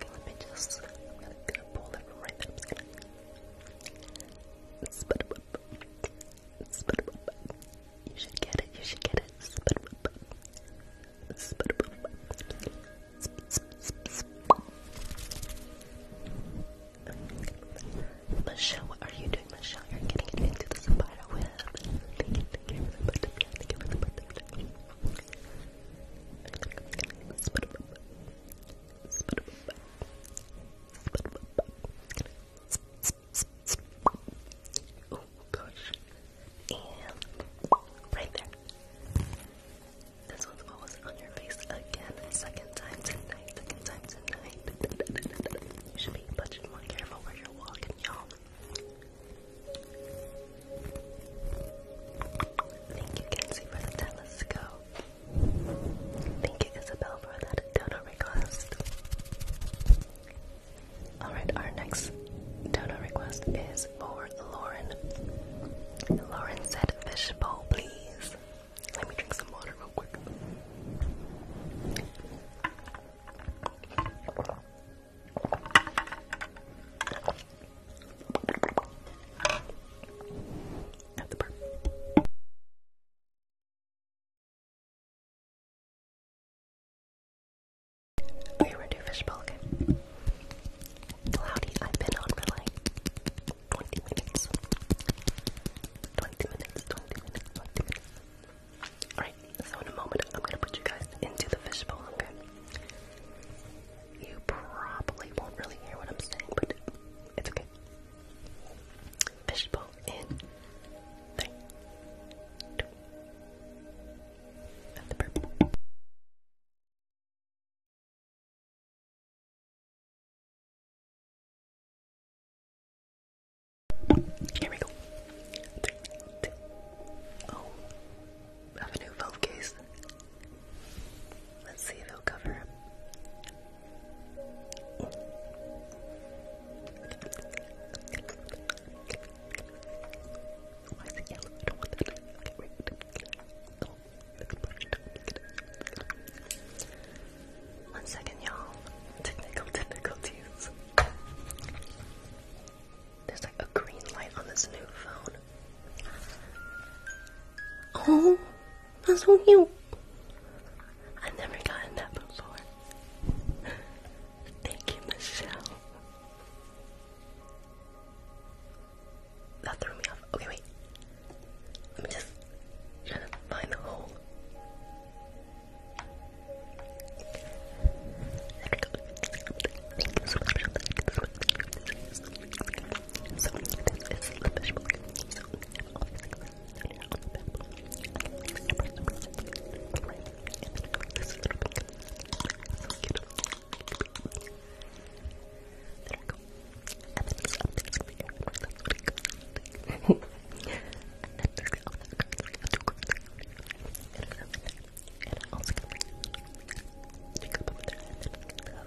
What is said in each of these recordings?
Let me just. I'm gonna pull it right there. You should get it. You should get it. Michelle, what are you doing, Michelle? You're getting into the Zapata web. Oh gosh. And right there. This one's almost on your face again. Second time tonight. Second time tonight. You should be much more careful where you're walking, y'all. Thank you, Kenzie, for the telescope. Thank you, Isabel, for that donor request. Alright, our next donor request is for Lauren. Lauren said, fishbowl, please. Let me drink some water real quick we're gonna fishbowl, okay? Cloudy, I've been on for 20 minutes. 20 minutes, 20 minutes, 20 minutes. Alright, so in a moment I'm gonna put you guys into the fishbowl, okay? You probably won't really hear what I'm saying, but it's okay. Fishbowl in three, Here we go. Three, oh of a new phone case. Let's see if it'll cover up. Why it yellow? I don't want that. Okay, One second, y'all. Technical difficulties. There's like a green light on this new phone. Oh, that's so cute. I've never gotten that before. Thank you, Michelle. That threw me off. Okay, wait. Let me just try find the hole. There we go. So this is the fish book. So this is little pink. So cute. There we go. And then this up there's gonna be air and then there's the other cards. And also gonna be Jacob over there and then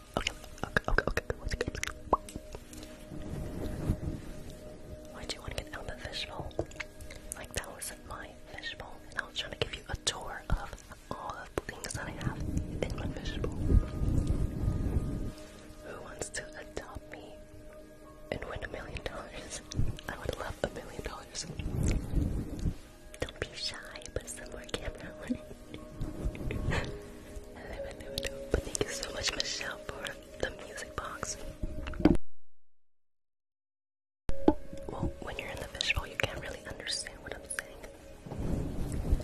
Okay, okay, okay, okay. What's good? Why do you want to get out of the fishbowl? Like that wasn't my fishbowl, and I was trying to give you a tour of all of the things that I have in my fishbowl. Who wants to adopt me and win a million dollars? I would love a million dollars. Don't be shy, put some more camera on it thank you so much, Michelle, for the music box. Well, when you're in the visual, you can't really understand what I'm saying.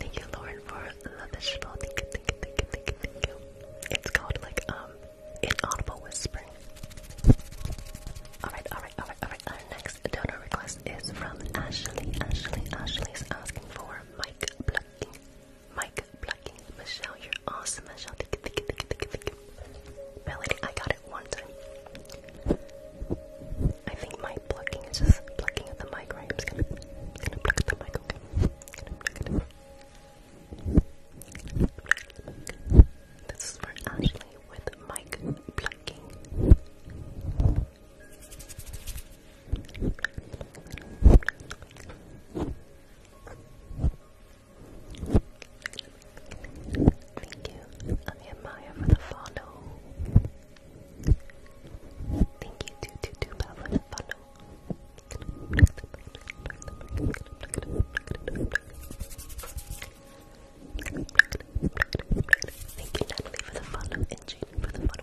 Thank you, Lauren, for the visual. Thank you, thank you, thank you, thank you, thank you. It's called like um inaudible whispering. Alright, alright, alright, alright. Our next donor request is from Ashley. Ashley, Ashley is asking for mic Mike Plucking. Michelle, you're awesome. Michelle, thank you, thank you, thank you, Melody, I got it one time. I think Mike blocking is just blocking at the mic, right? I'm just gonna, just gonna pluck the mic, okay? This is for Ashley with Mike Plucking. Thank you, Anya for the follow. Thank you, to to for the follow. Thank you, Natalie, for the follow and Jane for the follow.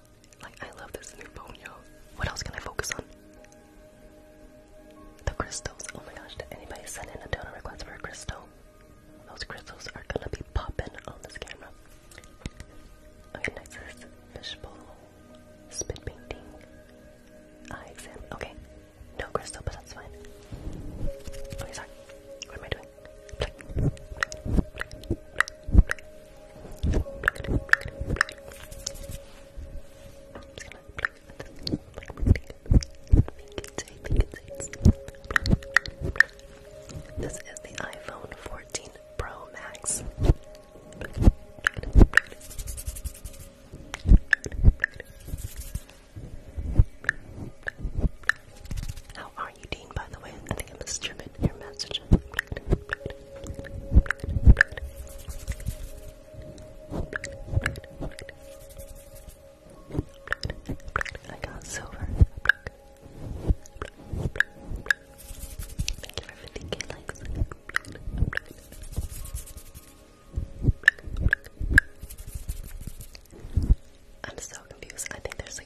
Like, I love this new phone, yo. What else can I focus on? The crystals. Oh my gosh, did anybody send in a donor request for a crystal? Those crystals are gonna be popping on this camera. Okay, next is fishbowl, spit painting, eye exam. Okay, no crystal, but that's fine. Okay, sorry. What am I doing? This is the iPhone 14 Pro Max. How are Dean, by the way? I think I misdriven your message. I got silver. Thank you for 50k likes. I'm so confused. I think there's like.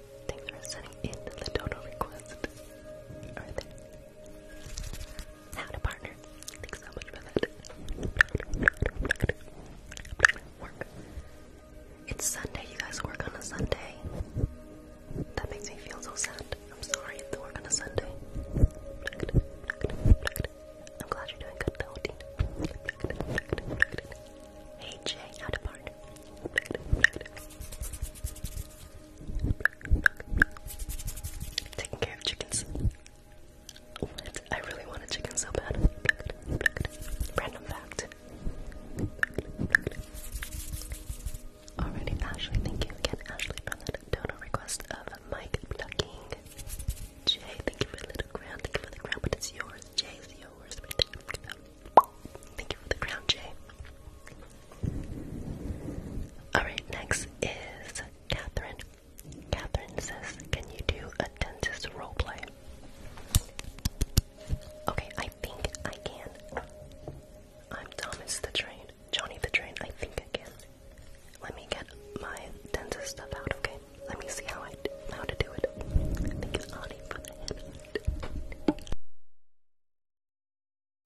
Thanks for sending in the total request. How to partner. Thanks so much for that. Work. It's Sunday. You guys work on a Sunday. That makes me feel so sad. I'm sorry if they work on a Sunday. I'm glad you're doing good Hey Jay, how to partner. Taking care of chickens. What? I really want a chicken so bad. Random fact. Alrighty, Ashley, thank you again, Ashley, for that donor request of Mike Plucking. Jay, thank you for the little thank you for the ground, but it's yours. Jay's yours. Thank you for the crown, Jay. Alright, next is Catherine. Catherine says, Can you do a dentist roleplay? Okay, I think I can. I'm Thomas the Train. Johnny the Train, I think I can. Let me get my dentist stuff out, okay? Let me see how I how to do it. I think it's for the head.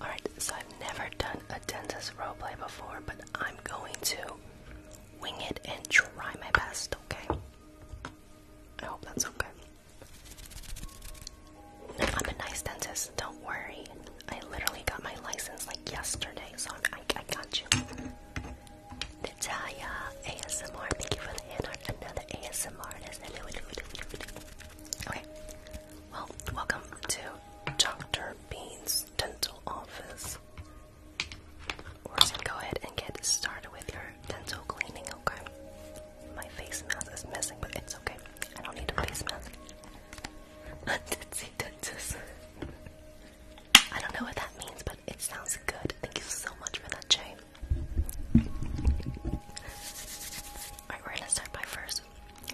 Alright, so I've never done a dentist roleplay before, but I'm going to wing it and try my best, okay? I hope that's okay. I'm a nice dentist, don't worry. I literally got my license like yesterday, so I'm, I, I got you. Natalia ASMR, thank you for the hand art. Another ASMR artist. Hello, hello, hello, hello. Okay, well, welcome to Dr. Bean's dental office. We're just gonna go ahead and get started with your dental cleaning, okay? My face mask is missing, but it's okay. I don't need a face mask. I don't know what that means, but it sounds good. Thank you so much for that, Jay. Alright, we're gonna start by first.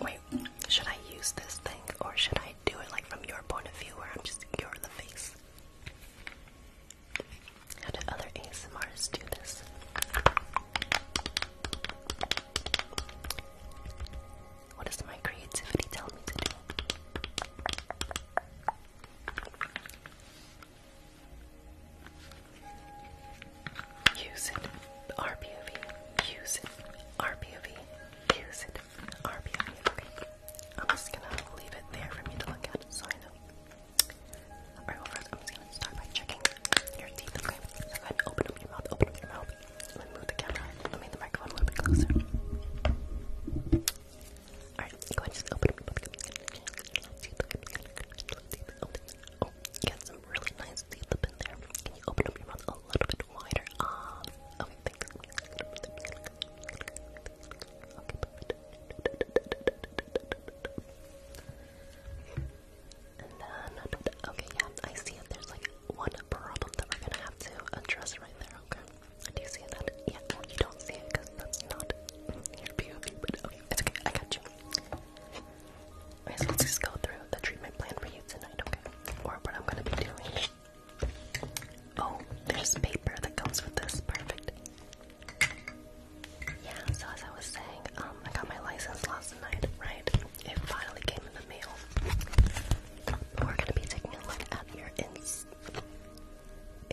Wait, should I use this thing or should I do it like from your point of view where I'm just you're the face? How do other ASMRs do this? What does my creativity tell me to do? Use it, RPOV. Use it, RPOV. Use it, RPOV. Okay. I'm just gonna leave it there for me to look at so I know. Alright, well first I'm just gonna start by checking your teeth, okay? So go ahead and open up your mouth, open up your mouth. Let me move the camera, let me move the microphone a little bit closer. Alright, go ahead and just open up your mouth. Oh, you got some really nice teeth up in there. Can you open up your mouth a little bit wider? Um, okay, thanks. Okay, perfect okay, yeah, I see it. There's like one problem that we're gonna have to address right there, okay? Do you see that? Yeah, you don't see it because that's not your POV, but okay, it's okay, I got you. Okay, so let's just go through the treatment plan for you tonight, okay? Or what I'm gonna be doing. Oh, there's paper that comes with this. Perfect. Yeah, so as I was saying, um, I got my license last night, right? It finally came in the mail. we're gonna be taking a look at your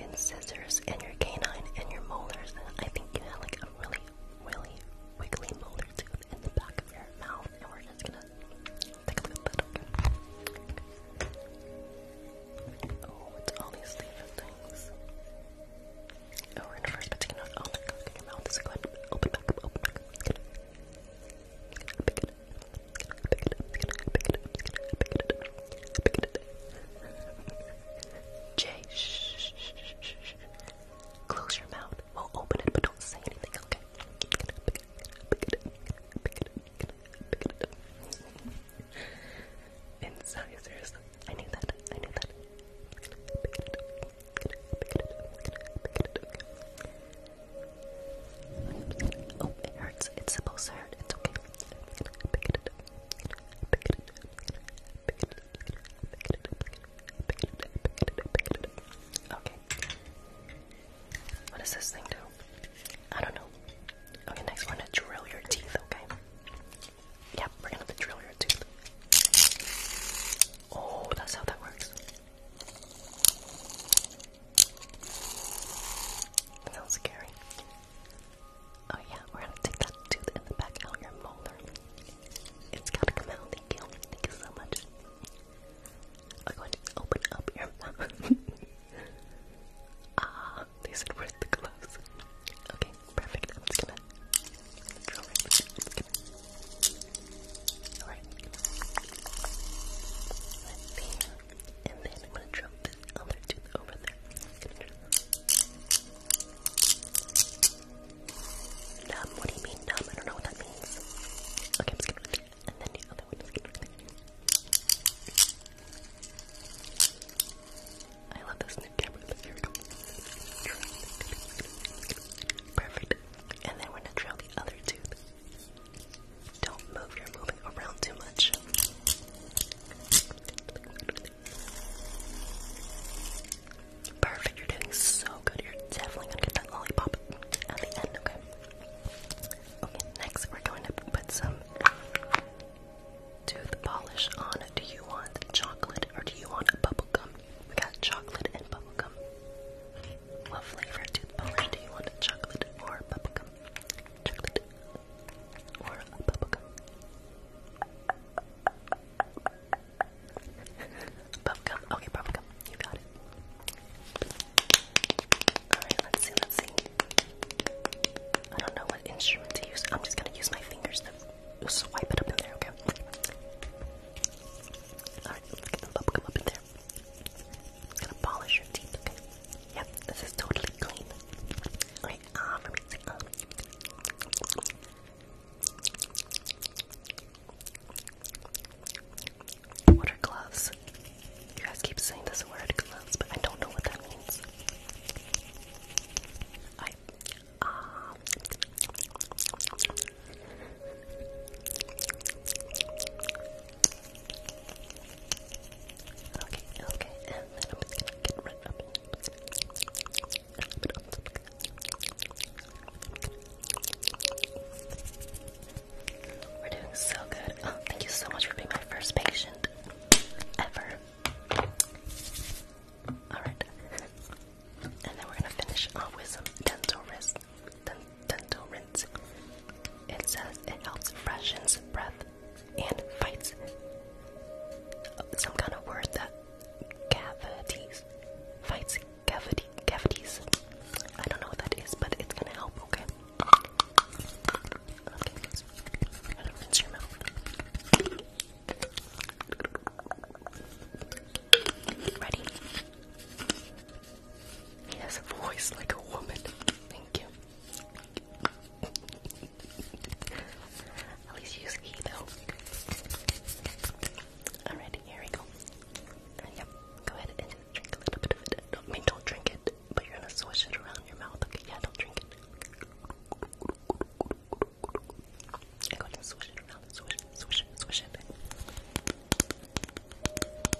incisors and your canine and your molars. And I think you had like a really, really wiggly molar tooth in the back of your mouth, and we're just gonna take a look at that. Oh, it's all these different things. Oh, we're shh, shh, shh, shh, Close your mouth. We'll open it, but don't say anything, okay? And I knew that. I knew that. Oh, it hurts. It's supposed to hurt. It's okay. Okay. What does this thing do? I don't know. Okay, next one to drill your teeth, okay? Yep, we're gonna have to drill your tooth. Oh, that's how that works. That scary. Oh yeah, we're gonna take that tooth in the back out your molar. It's to come out. Thank you. Thank you so much. I'm going to open up your mouth. Ah, they said, with the gloves? Okay, perfect. I'm just gonna go right Alright. And then I'm gonna drop this other tooth over there. Numb, what do you mean numb? I don't know what that means. Okay, I'm just gonna do and then the other one I love this new camera. Here we go. Perfect. And then we're gonna drill the other tooth. Don't move, you're moving around too much. Perfect, you're doing so good. You're definitely gonna get that lollipop at the end, okay? Okay, next we're going to put some tooth polish on. Do you want chocolate or do you want bubblegum? We got chocolate and bubblegum. What flavor tooth polish do you want? Chocolate or bubblegum? Chocolate or bubblegum? bubblegum. Okay, bubblegum. You got it. Alright, let's see, let's see. I don't know what instrument to use. I'm just gonna use my fingers to swipe it up in there, okay? Alright, get the bubblegum up in there. gonna polish your teeth, okay? Yep, this is totally clean. Alright, um, let me see. Um, what gloves? You guys keep saying this word gloves, but I don't know what that means. I okay, okay, We're doing so good. Oh, thank you so much for being my first patient ever. Alright. And then we're gonna finish off with some dental rinse. Dental rinse. It says it helps freshens breath and fights some kind of word that cavities fights cavity cavities. I don't know what that is, but it's gonna help. Okay. Okay. Rinse your mouth. Ready? He has a voice like a woman. Thank you. At least use he though. Alright, here we go. yep, go ahead and drink a little bit of it. No, I mean, don't drink it, but you're gonna swish it around your mouth. Okay, yeah, don't drink it. I got to swish it around, swish it, swish it, swish it.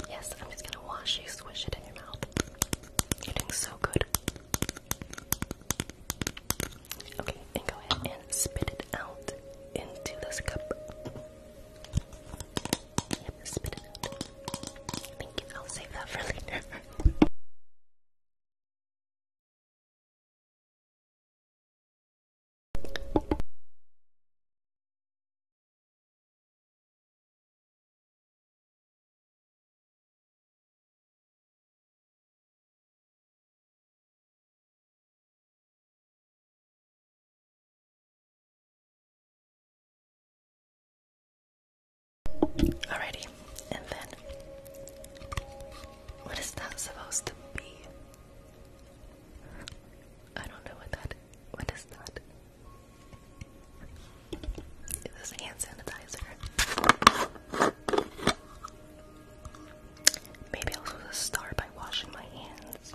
Yes, I'm just gonna wash you, swish it in your mouth. You're doing so good. Okay, and go ahead and spit it out into this cup. Yep, spit it out. Thank you, I'll save that for later. Alrighty, and then what is that supposed to be? I don't know what that. What is that? It is hand sanitizer. Maybe I'll just by washing my hands.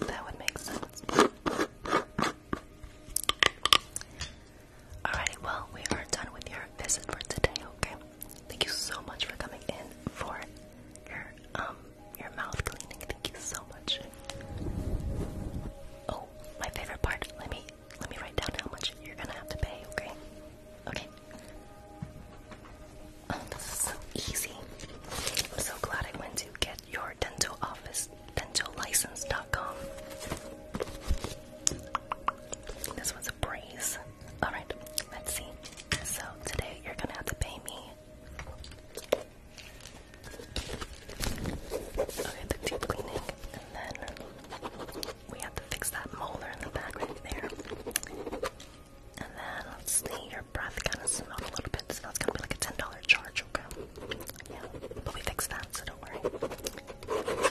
That would make sense. Alrighty, well, we are done with your visit for today, okay? Thank you so much for coming in for your um your mouth cleaning. Thank you so much. Oh, my favorite part. Let me let me write down how much you're gonna have to pay. Okay. Okay. Oh, this is so easy. I'm so glad I went to get your dental office, dentallicense.com. This was a breeze. Alright, let's see. So today you're gonna have to pay me. Okay, the deep cleaning, and then we have to fix that molar in the back right there. And then let's see, your breath kind of smelled a little bit, so that's gonna be like a ten dollar charge, okay? Yeah, but we fixed that, so don't worry.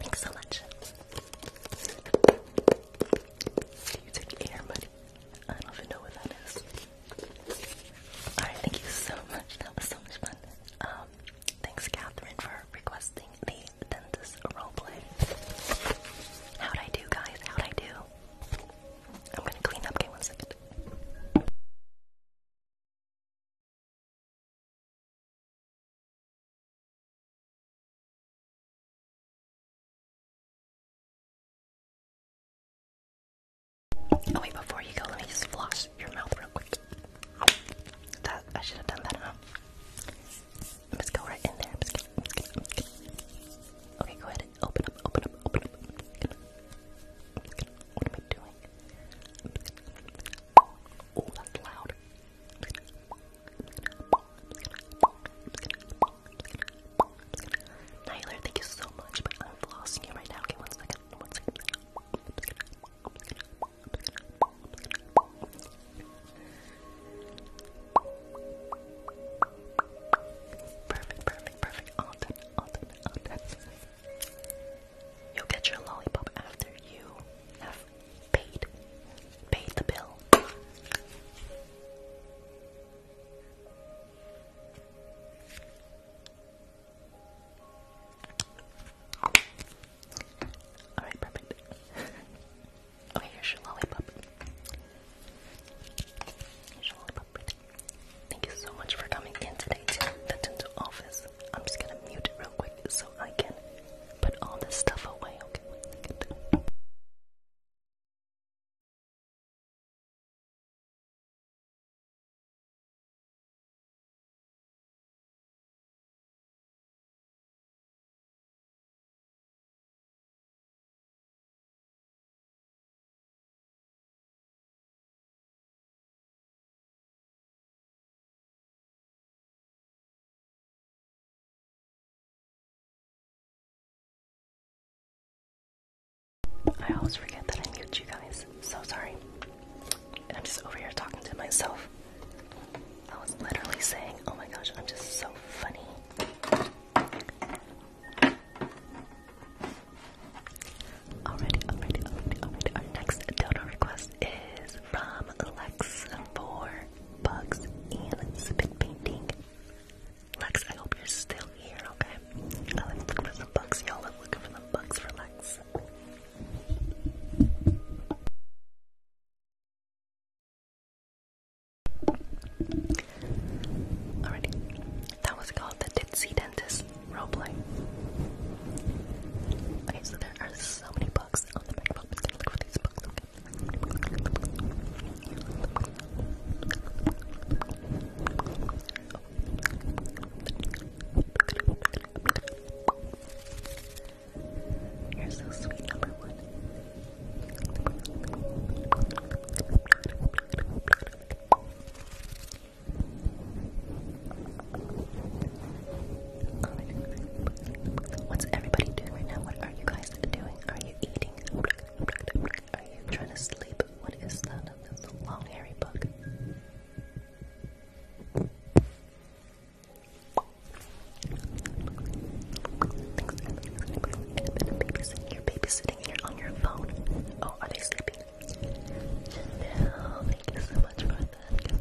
Thanks so much. You take air, buddy. I don't know what that is. Alright, thank you so much. That was so much fun. Um, thanks, Catherine, for requesting the dentist roleplay. How'd I do, guys? How'd I do? I'm gonna clean up. Okay, one second. Oh wait, before you go, let me just floss your mouth real quick. That I should have done that enough. Let's go right in there. Okay, go ahead open up, open up, open up. What am I doing? Oh, that's loud. thank you so much, but I'm flossing you right now. Okay, one second. One second. Perfect, perfect, perfect. All done, all done, all done. You'll get your lollipop after you have paid paid the bill. Alright, perfect. oh, here's your lollipop. your lollipop. Thank you so much for coming in today to the dental office. I'm just gonna mute it real quick so I can put all this stuff away. Okay, I always forget that I mute you guys. So sorry. And I'm just over here talking to myself. I was literally saying, oh my gosh, I'm just so funny. Already, already, already, already. Our next donor request is from Lex for Bugs and Spit Painting. Lex, I hope you're still here, okay? Oh, let's for some bugs, y'all. I'm looking for the bugs for Lex. Alrighty, that was called the Ditsy Dentist roleplay. Okay, so there are so many books on the microphone. I'm look for these books. Okay. You're so sweet, number one. What's everybody doing right now? What are you guys doing? Are you eating? Are you trying to sleep? What is that? That's the long hairy bug. You're babysitting here on your phone. Oh, are they sleeping? Janelle, thank you so much for that.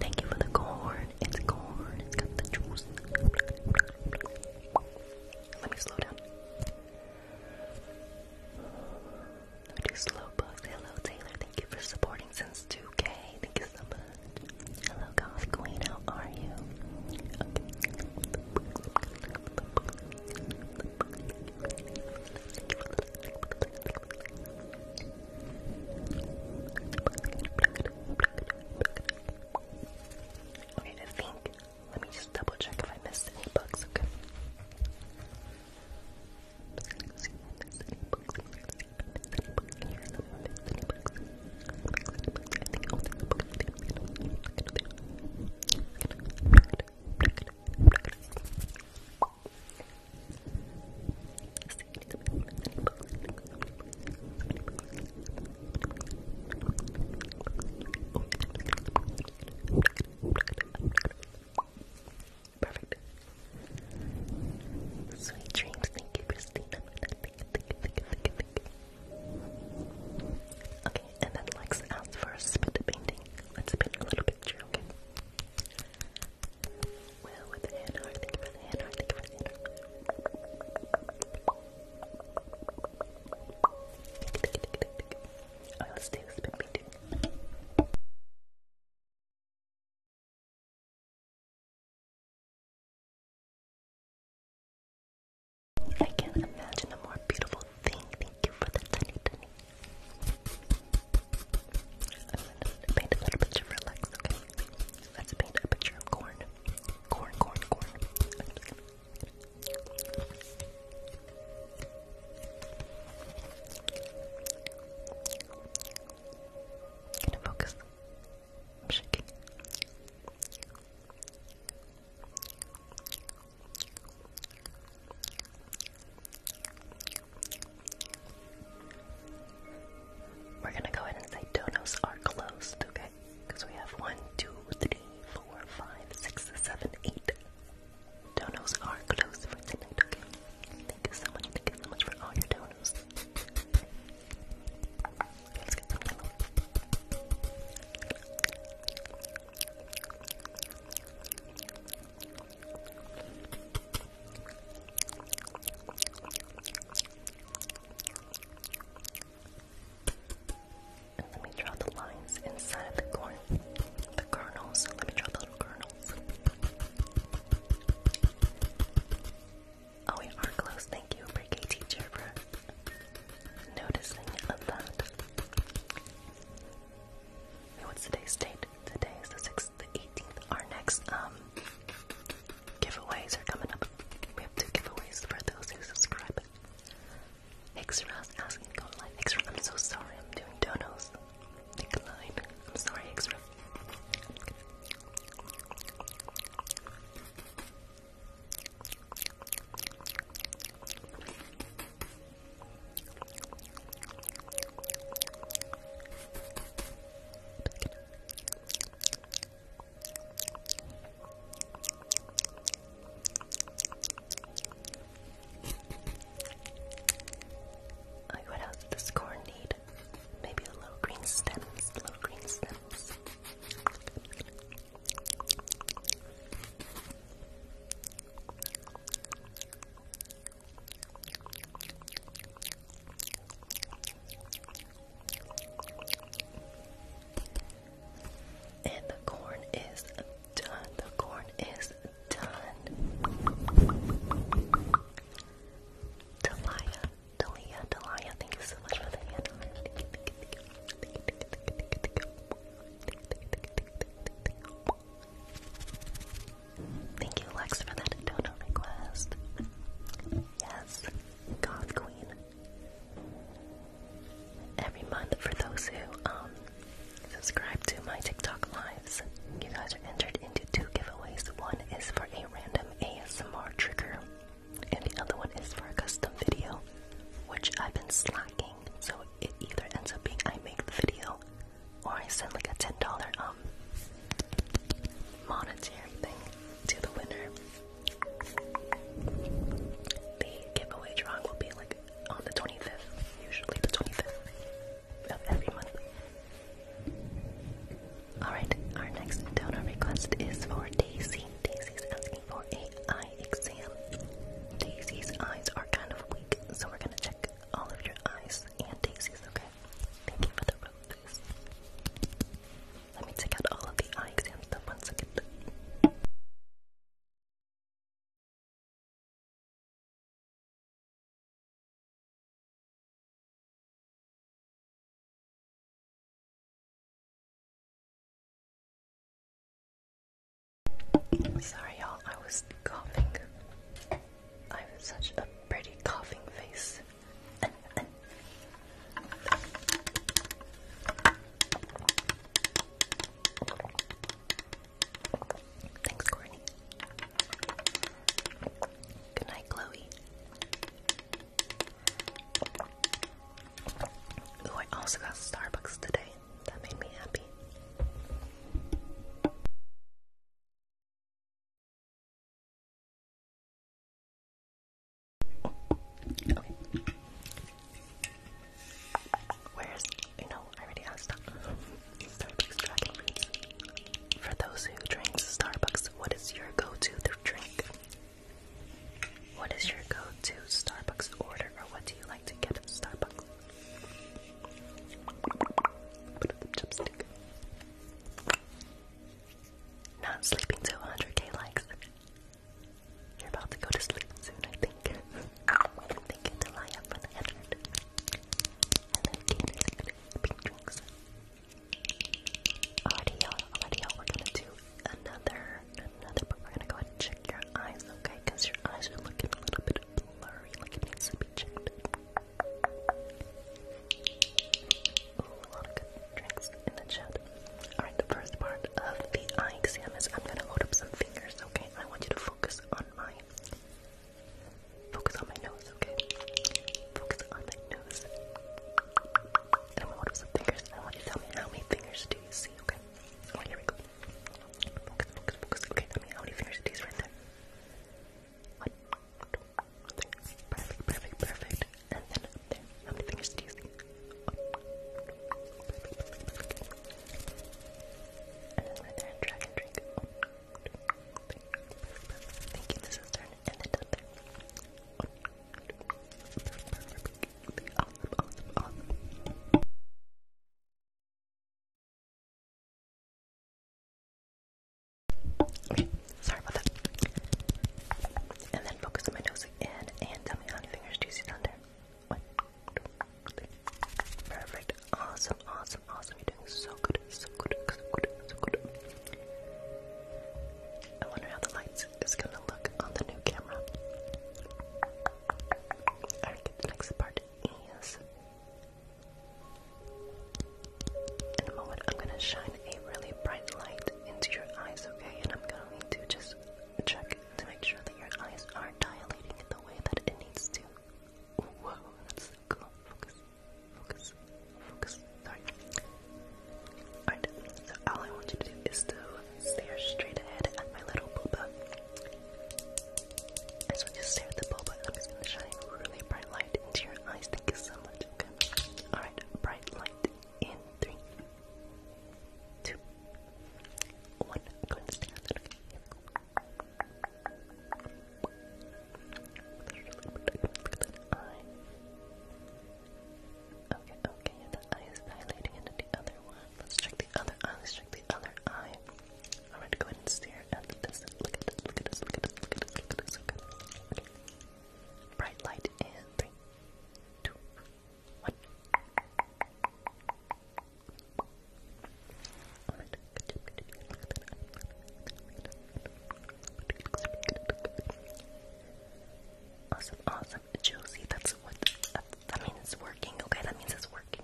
Thank you for the corn. It's corn. It's got the juice. Let me slow down. Let me do slow bugs. Hello, Taylor. Thank you for supporting since 2K. Thank you so much. Hello, Goth Queen. How are you? Okay. I think. Let me just double check if I missed any books. Okay. Perfect. Sweet dreams. Thank you, Christina. Thank you, thank you, thank you, thank you, thank you. Okay, and then Lex asked for a spit painting. Let's paint a little picture, okay? Well, with the hand art, thank you the hand art, thank you the hand art. Alright, let do a spit painting. I can't imagine a more beautiful thing. Thank you for the tiny, tiny. i paint a little picture for Lex, okay? Let's paint a picture of corn. Corn, corn, corn. Can I focus? I'm shaking. We're gonna go ahead and say donos are closed, okay? Because we have one, two, three, four, five, six, seven, eight. Donos are closed for tonight, okay? Thank you so much, thank you so much for all your donos. Let's me draw the lines inside the corn, the kernels. Let me draw the little kernels. Oh, we are close. Thank you, pre-K teacher, for noticing that. what's today's date? Today is the 6th, the 18th. Our next um, giveaways are coming up. We have two giveaways for those who subscribe. Xra's asking to go I'm so sorry. I'm doing donos. Decline. I'm sorry, Xra. Like what else does corn need? Maybe a little green stems, little green stems. And the corn is done. The corn is done. Delia, Delia, Delia, thank you so much for the Thank you, Lex, for that donut request. Yes, God Queen. Every month, for those who um, subscribe to my TikTok lives, you guys are entered into two giveaways. One is for a random ASMR trigger and the other one is for a custom video, which I've been slacking. So it either ends up being I make the video, or I send like a ten dollar um monetary thing to the winner. The giveaway drawing will be like on the twenty fifth, usually the twenty fifth every month. Alright, our next donor request is for Daisy. Daisy's asking for a eye exam. Daisy's eyes are kind of weak, so we're gonna check all of your eyes and Daisy's, okay? Thank you for Let me check out all of the eye exam one second. Sorry, y'all, I was coughing. I have such a pretty coughing face. Thanks, Courtney. Good night, Chloe. Ooh, I also got Starbucks today. That made me happy. Where's, you know, I already asked that. Starbucks dragon fruits. For those who drink Starbucks, what is your go-to drink? What is your go-to Starbucks order, or what do you like to get at Starbucks? Not sleeping to 100k likes. You're about to go to sleep soon, I think. thinking to lie up on 100. And then eat pink drinks. Audio, audio, we're gonna do another another, but we're gonna go and check your eyes, okay? Because your eyes are looking a little bit blurry, like it needs to be checked. a lot of good drinks in the chat. Alright, the first part of the eye exam is I'm gonna hold up some fingers, okay? I want you to focus on my focus on my nose, okay? Focus on my nose. And I'm going some fingers. I want you to tell me how many fingers do you see, okay? Oh, here we go. Okay, how many fingers do you see right there? One, two, three. Perfect, perfect, perfect. And then there. How many fingers do you see? One, And then right there, drag and drink. Thank you, this And then up there. Awesome, sorry about that. And then focus on my nose again and tell me how many fingers do you see down there? Perfect. Awesome, awesome, awesome. You're doing so good, so good, so good, so good. I wonder how the lights it's gonna look on the new camera. Alright, the next part is. In a moment, I'm gonna shine a really bright light into your eyes, okay? And I'm going to just check to make sure that your eyes are dilating in the way that it needs to. Whoa, that's cool. Focus, focus, focus. Sorry all I want you to do is to stare straight ahead at my little boba. just stare at the boba I'm just gonna shine a really bright light into your eyes. Thank you so much. Okay. Alright, bright light in three, two, one. Go Okay, okay, the eye is into the other one. Let's check the other eye. check the other eye. Alright, go ahead and stare at this. Look at this, look at this, look at this, look at this, look at this. Look Okay. Bright light in three, two, one. Awesome, awesome, Josie. That's what that means. It's working. Okay, that means it's working.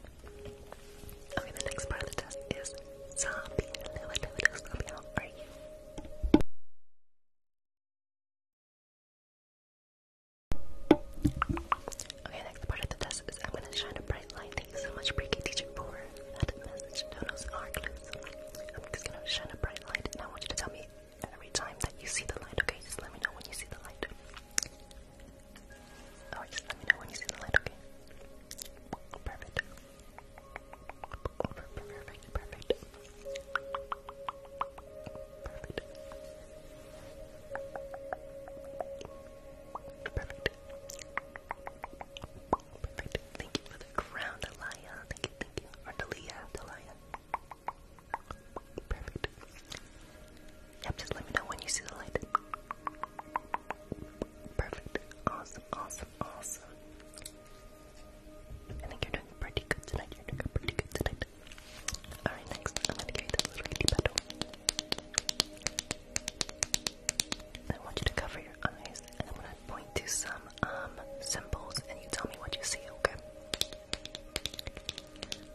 Okay, the next part of the test is zombie. are you? Okay, next part of the test is I'm gonna shine a bright light. Thank you so much, Pre-K teacher, for that message. No, no, are clues. I'm just gonna shine a bright light, and I want you to tell me every time that you see the light, okay? Just let me know when you see the light. Oh, let me know when you see the light, okay? Perfect. Perfect, perfect, perfect. Perfect. Perfect. Thank you for the crown, Delia. Thank you, thank you. Delia, Delia. Perfect. Yep, just let me know when you see the light. Perfect. Awesome, awesome, awesome. I think you're doing pretty good tonight. You're doing pretty good tonight. Alright, next I'm gonna carry this little kitty petal. I want you to cover your eyes and I'm gonna point to some um symbols and you tell me what you see, okay?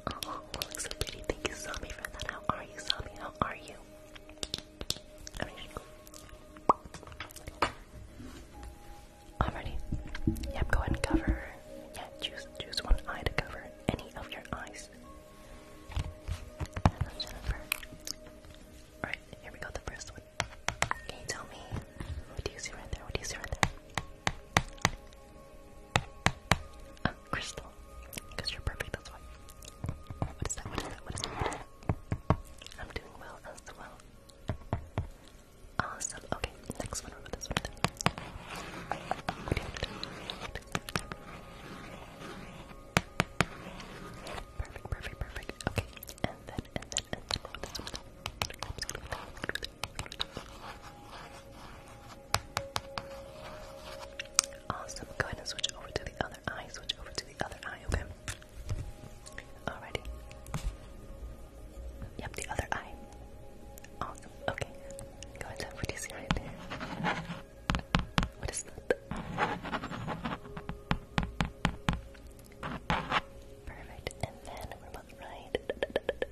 Oh, oh, it looks so pretty. Thank you, Sami, for that. How are you, Sami? How are you? Alrighty. Alrighty. Yep, go ahead and cover. Yeah, choose choose one eye to cover any of your eyes. Hello, here we go, the first one. Can you tell me what do you see right there? What do you see right there? Um, crystal. Because you're perfect, that's why. What is that? What is that? What is that? I'm doing well as well. Awesome. Okay, next one. What this Perfect, perfect, perfect. Okay, and then, and then, and then, what is that? Awesome. Go ahead and switch over to the other eye. Switch over to the other eye, okay? Alrighty. Yep, the other eye. Awesome. Okay. Go ahead and put this right there. What is that? Perfect. And then we're about right.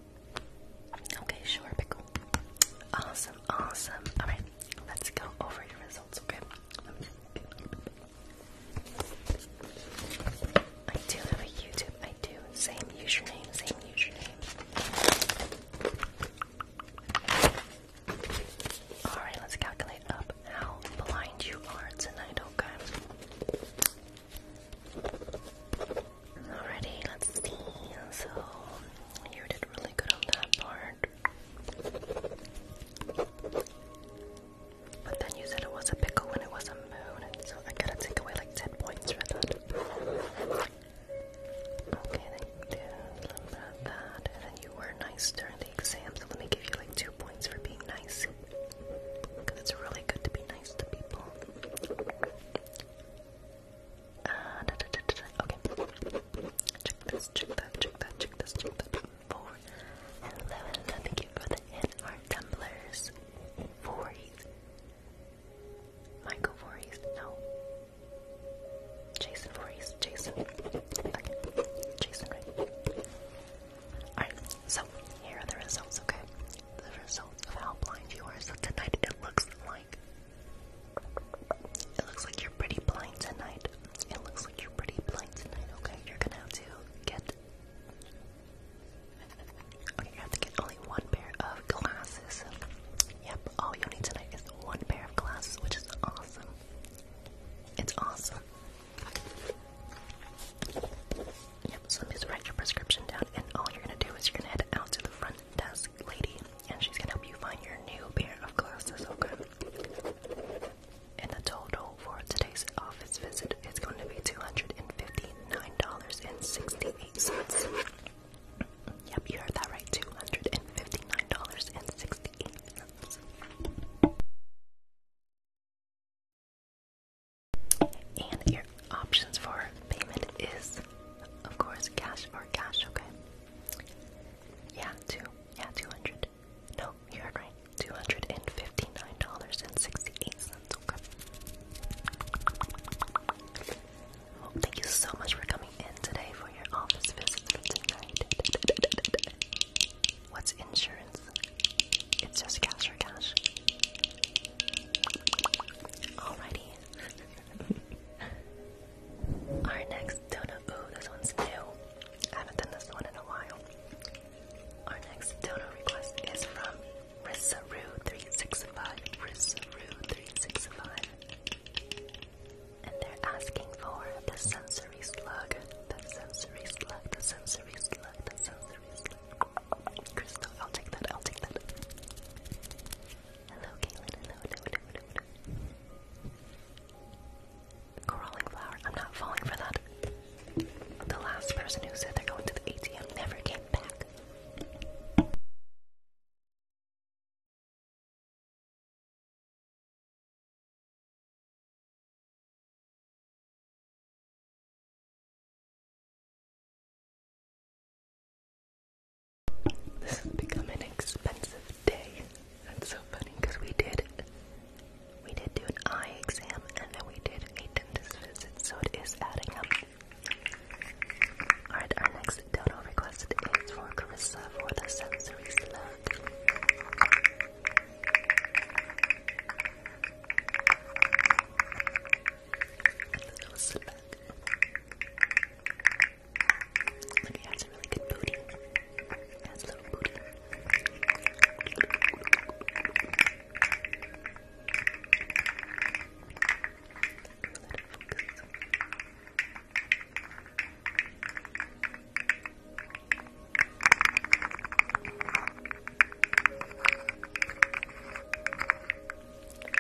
Okay, sure, pickle. Awesome, awesome. Alright, let's go over your results, okay? I do have a YouTube, I do. Same username, same username. Alright, let's calculate up how blind you are tonight, okay? Alrighty, let's see. So you did really good on that part. But then you said it was a pickle when it was a moon, so I gotta take away like 10 points for that. Okay, then you did that, and then you were nice during the exam, so let me give you like 2 points for being nice. Because it's really good to be nice to people. Uh, da, da, da, da, da. Okay. Check this, check that, check that, check this, check that. Four. Hello, hello. Thank you for the in our tumblers. Voorhees. Michael Voorhees. No. Jason Voorhees. Jason. Okay. Jason, right? Alright, so here are the results, okay? the result of how blind you are. So tonight it looks like it looks like you're pretty blind tonight. It looks like you're pretty blind tonight. Okay, you're gonna have to get. Okay, you have to get only one pair of glasses. Yep, all you need tonight is one pair of glasses, which is awesome. It's awesome. Yep, so let me just write your prescription down, and all you're gonna do is you're gonna head out to the front desk lady, and she's gonna help you find your new pair of glasses, okay? And the total for today's office visit is going to be $259.68. Yep, you heard that right, $259.68. And your options for payment is of course, cash or cash, okay? Yeah, two. Yeah, 200. No, you heard right. $259.68, okay? Well, thank you so much for coming in today for your office visit for tonight. What's insurance? It's just cash for cash. Alrighty. Our next donut. Ooh, this one's new. I haven't done this one in a while. Our next donut request is from Risaru365. Risaru365. And they're asking for the sensory slug. The sensory slug. The sensory slug. The sensory slug. Crystal, I'll take that. I'll take that. Hello, Caitlin. hello. Crawling flower. I'm not falling for that. The last person who said they're going to the ATM never came back. This has become an expensive day. That's so funny because we did we did do an eye exam and then we did a dentist visit, so it is adding up. Alright, our next dodo request is for Carissa for the sensory slug. Little slug. Look, he a really good booty. He has a little booty.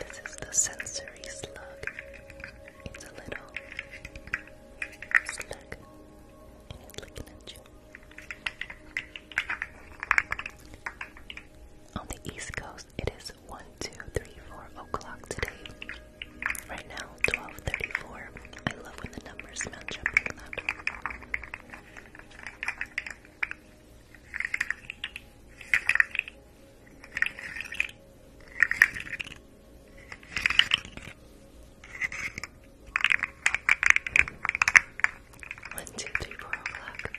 This is the sensory slug. It's a little slug, and it's looking at you. On the East Coast, it is one, two, three, four o'clock today. Right now, twelve thirty-four. I love when the numbers match up like that. One, two, three, four o'clock.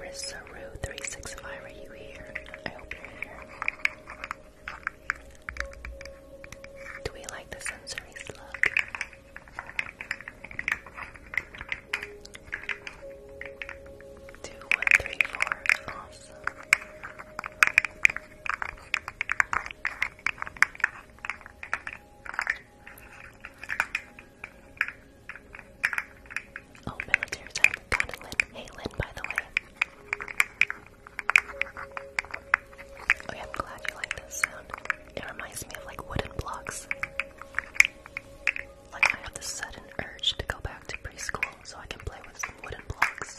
Rissaru365, are you here? I hope you're here. Do we like the sensory slug? Two, one, three, four. Oh, military type. Got it, Lynn. Hey, Lynn, by the way. Okay, I'm glad you like this sound. It reminds me of like wooden blocks. Like I have this sudden urge to go back to preschool so I can play with some wooden blocks.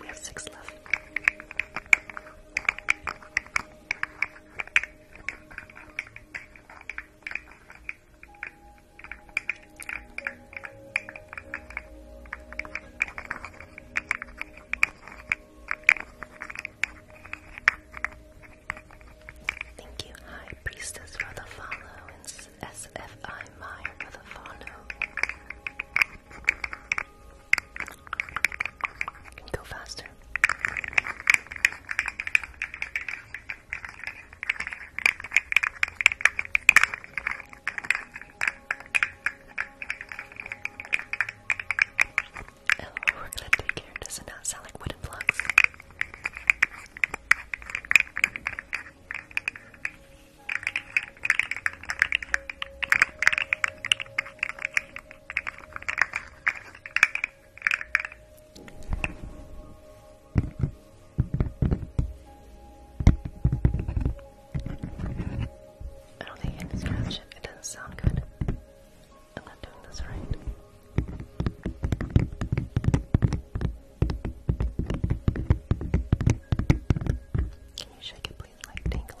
We have six left. Thank you, High Priestess, for the follow, and SFI Meyer for the follow. Can you go faster? Oh, we're gonna take care. Does not sound like wooden blocks? I don't think I can it. doesn't sound good. I'm not doing this right. Can you shake it, please? Like, tinkle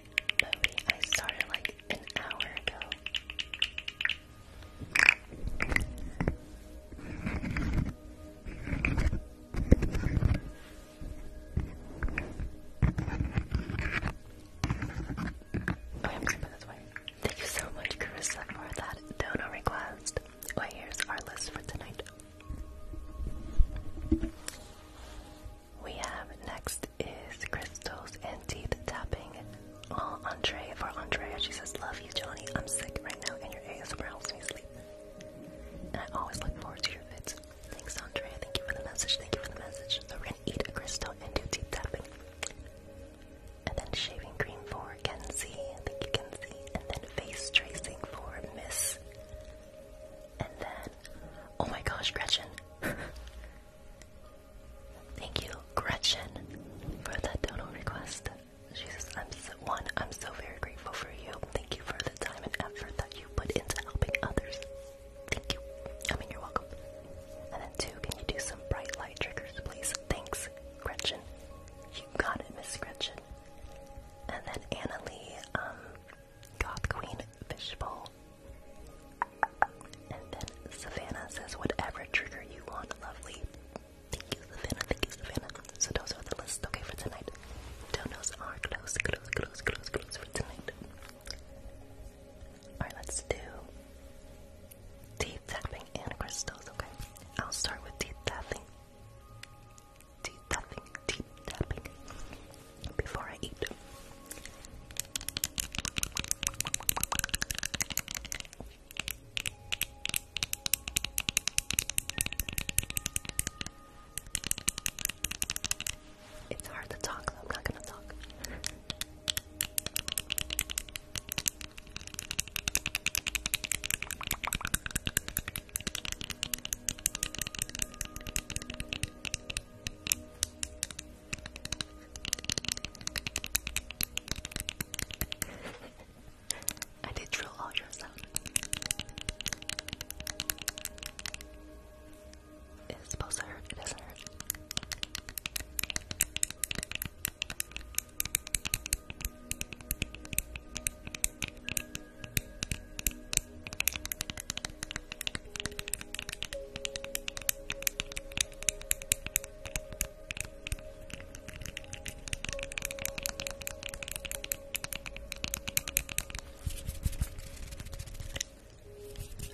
I started like an hour ago. I'm going this way. Thank you so much, Carissa, for that donor request. Well, here's our list for tonight we have next is crystals and teeth tapping. All Andre for Andrea. She says, Love you, Johnny. I'm sick right now, and your ASMR helps me sleep. And I always look forward to your vids. Thanks, Andre. Thank you for the message. Thank you for the message. So, we're gonna eat a crystal and do teeth tapping. And then shaving cream for Kenzie. Thank you, Kenzie. And then face tracing for Miss. And then, oh my gosh, Gretchen. Thank you, Gretchen, for that donor request. Jesus, I'm one, I'm so very grateful for you. Thank you for the time and effort that you put into helping others. Thank you. I mean, you're welcome. And then two, can you do some bright light triggers, please? Thanks, Gretchen. You got it, Miss Gretchen. And then Anna Lee, um, Goth Queen Fishbowl and then Savannah says, whatever trigger you want, lovely. Thank you, Savannah. Thank you, Savannah. So those are the list, okay, for tonight. Donos are close, close, close, close, close close for tonight. Alright, let's do deep tapping and crystals, okay? I'll start with deep tapping. deep tapping, deep tapping. Before I eat. It's hard to talk, so I'm not gonna talk. I did drill all your sound. It's supposed to hurt, it doesn't hurt. I feel like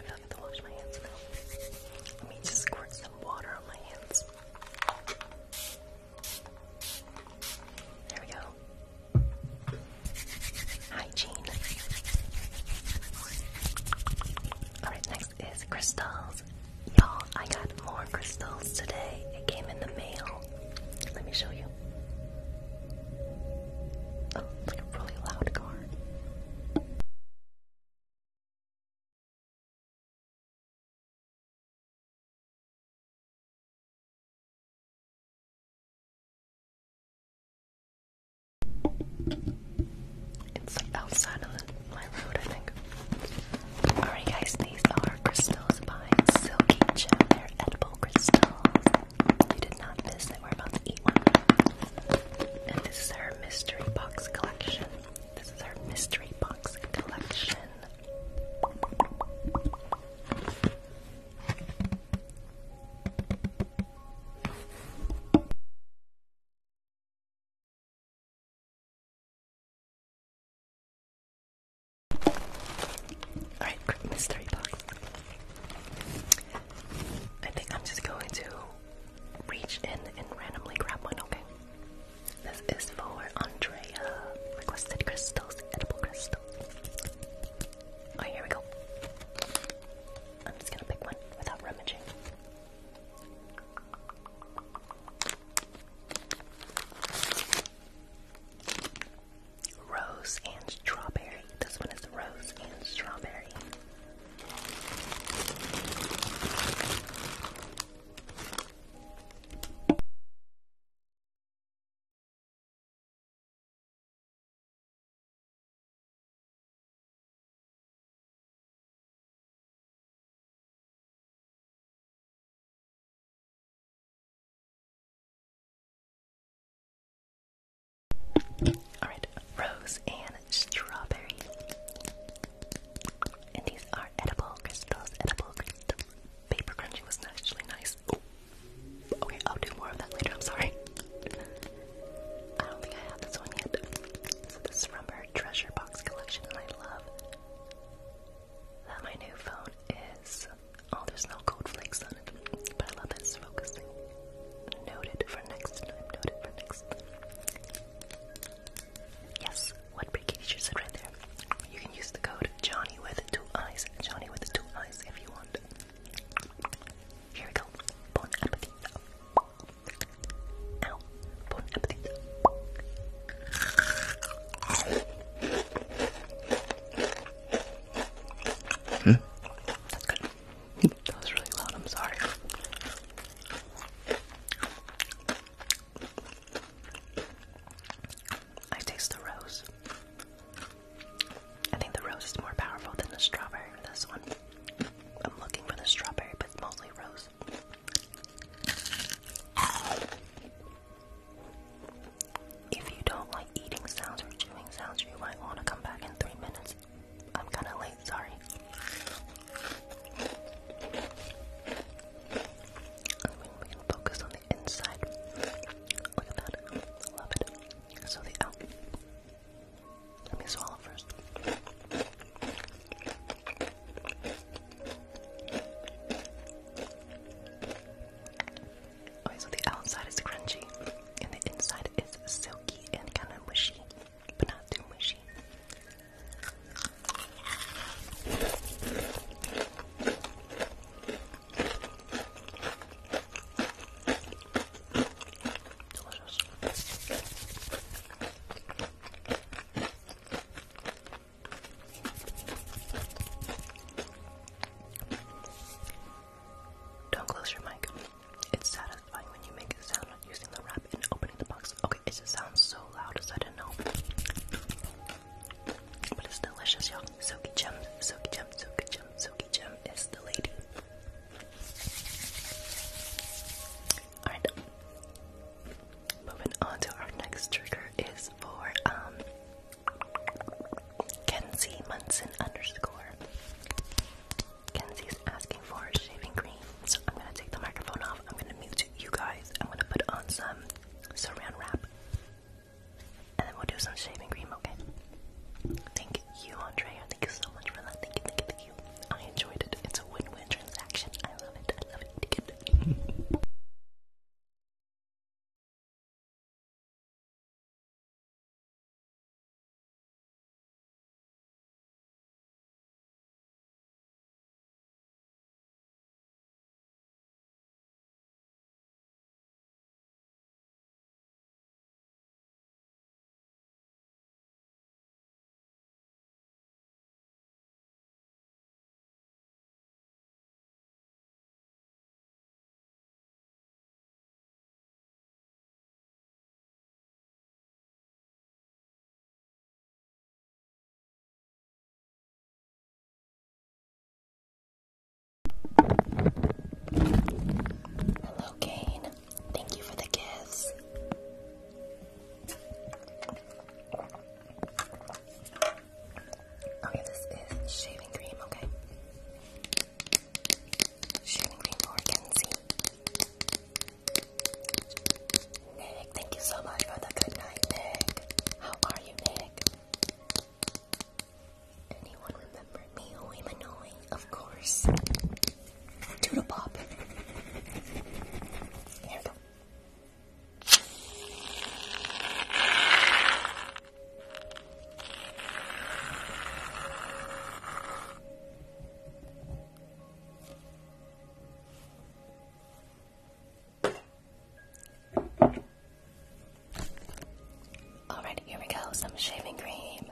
I have to wash my hands now. Let me just squirt some water on my hands. There we go. Hygiene. Alright, now is crystals. Y'all, I got more crystals today. It came in the mail. Let me show you. Oh, like a really loud car. It's outside of my road, I think. Alright, guys, these are crystals by Silky Gem. They're edible crystals. You did not miss that we're about to eat one. And this is her mystery box collection. This is her mystery box collection. Alright, mystery box. I think I'm just going to reach in and randomly grab one, okay? This is for Andrea. Requested crystals, edible crystals. Alright, here we go. I'm just gonna pick one without rummaging. Rose and strawberry. This one is rose and strawberry. All right, rose and strawberry. And these are edible crystals, edible crystals. Paper crunching was actually nice. Okay, I'll do more of that later. I'm sorry. I don't think I have this one yet. this is from her treasure box collection, and I love that my new phone is. Oh, there's no gold flakes on it, but I love that focusing. Noted for next time. Noted for next Yes, what Bricky teacher said right there. You can use the code Johnny with two eyes. Johnny with two eyes if you want. Here we go. Bon appetit. Ow. Bon appetit. Hmm. That's good. That was really loud, I'm sorry. I taste the rose. I think the rose is more powerful than the strawberry for this one. I'm looking for the strawberry, but it's mostly rose. If you don't like eating sounds or chewing sounds, you might want to come back in three minutes. I'm kind of late, sorry. I mean, we can focus on the inside. Look at that. Love it. So the out. Let me swallow first. Okay, so the outside is crunchy, and the inside is silky and kind of mushy, but not too mushy. Don't close your mic. It's satisfying when you make a sound when using the wrap and opening the box. Okay, it just sounds so loud as I didn't know. But it's delicious, y'all. Soaky Gem, Soaky Gem, Soaky Gem, Soaky Gem is the lady. Alright. Um, moving on to our next trigger is for um, Kenzie Munson underscore. Kenzie's asking for shaving cream. So I'm gonna take the microphone off. I'm gonna mute you guys. I'm gonna put on some saran wrap. And then we'll do some shaving cream, okay? Thank you, Andrea. Thank you so much for that. thank you, thank you. I enjoyed it. It's a win-win transaction. I love it. I love it. Hello, Kane. Thank you for the gifts. Okay, this is shaving cream, okay? Shaving cream for Kenzie. Nick, thank you so much for the good Nick. How are you, Nick? Anyone remember me? Oh, i of course. Doodle Pop. There we go. Alright, here we go. Some shaving cream.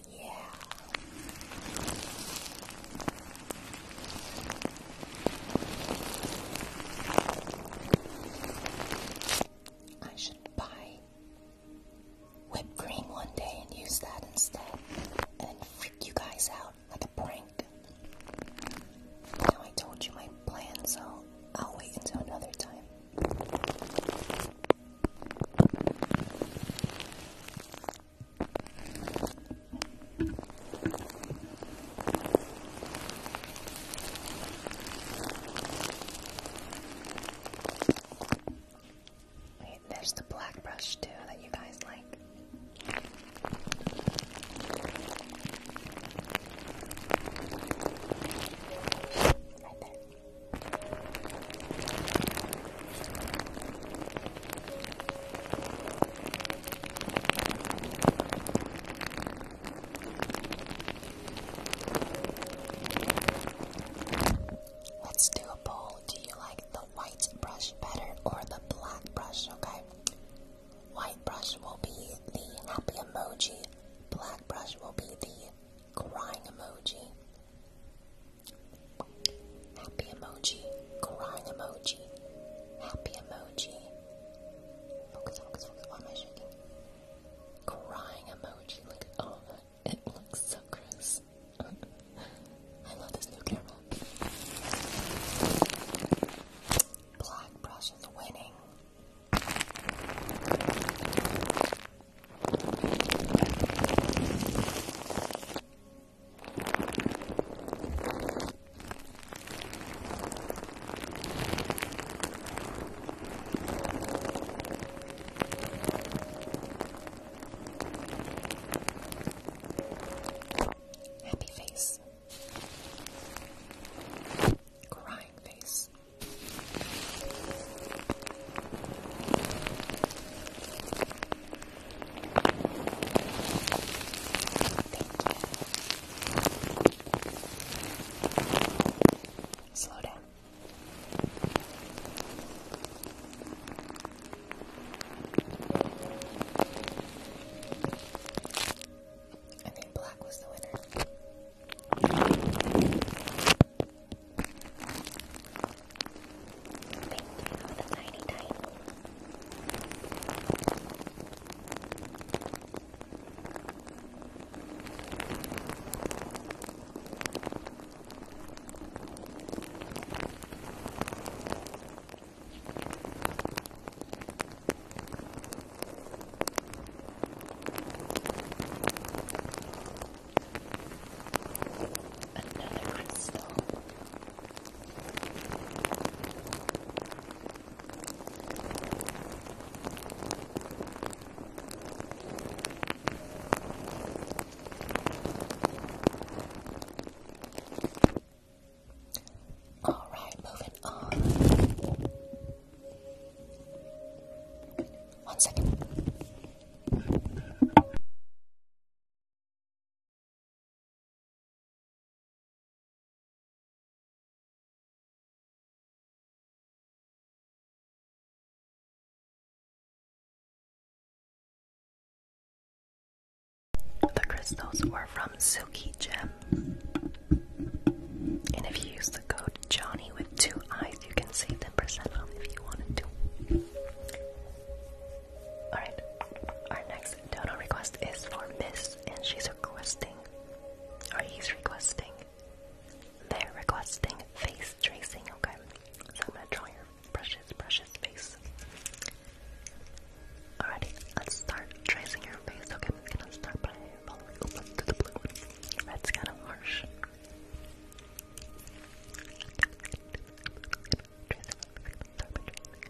yeah. I should buy whipped cream one day and use that instead and freak you guys out like a prank. Now I told you my plan, so I'll wait until another time. Wait, there's the black brush too that you guys like. Right there. Let's do a poll. Do you like the white brush better or the black brush? Okay. White brush will be the happy emoji. Black brush will be the crying emoji. Happy emoji, crying emoji, happy emoji. Focus, focus, focus. Why am I shaking? Crying emoji. Look at all oh, that. It looks so gross. I love this new camera. Black brush is winning. Happy face. Crying face. Slow down. I think black was the winner. Thank you for the tiny, tiny. Another crystal. All right, moving on. One second. The crystals were from Silky Gem. And if you use the code Johnny with two eyes, you can save 10% off if you wanted to. Alright, our next dono request is for Miss, and she's requesting, or he's requesting, they're requesting face tracing, okay? So I'm gonna draw your precious, precious face. Alrighty, let's start tracing your face, okay? I'm gonna start by following over to the blue one. Red's kind of harsh. Tracing, start by tracing.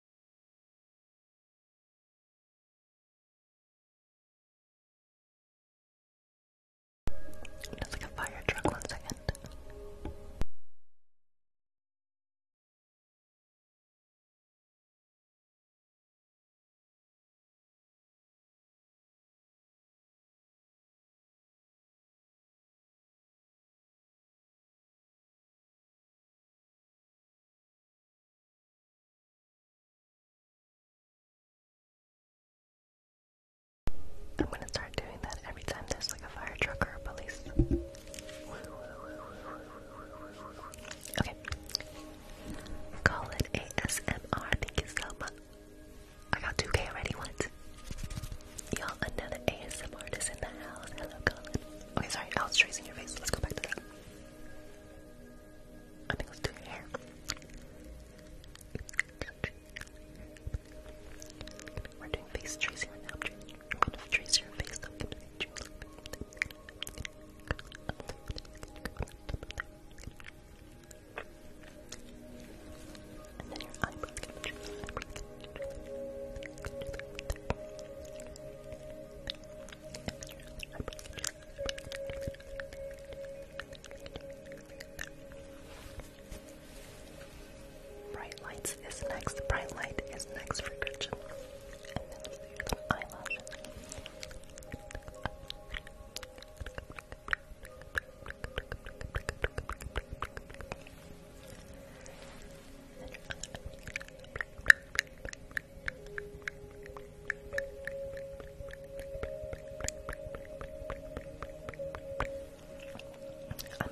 It's like a fire truck, one second. I'm gonna start doing that every time there's like a fire truck or a police. Okay. Call ASMR. Thank you so much. I got 2K already. What? Y'all, another ASM artist in the house. Hello, Colin. Okay, sorry. I was tracing your face. Let's go back to that. I think let's do hair. We're doing face tracing right now. I'm to trace your face. I'm going to trace and then your Eyebrows. Bright lights is next. Bright light is next for Gretchen. And then you eyelashes. I'm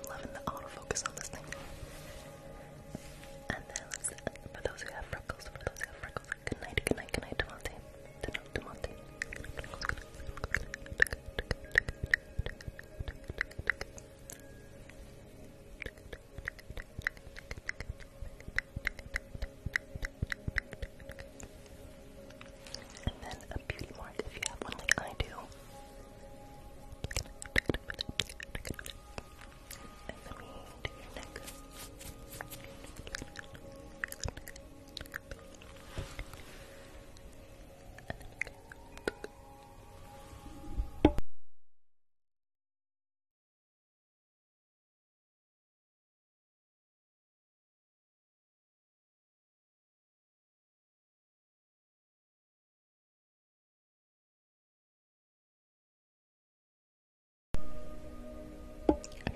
loving the autofocus on this thing. And then, for those who have freckles, for those who have freckles, good night, good night, good night, Demonte. Demonte. And then a beauty mark if you have one like I do. And let me do your neck.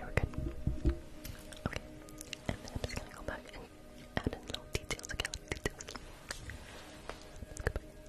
Okay, we Okay, and then I'm just gonna go back and add in little details again. Details.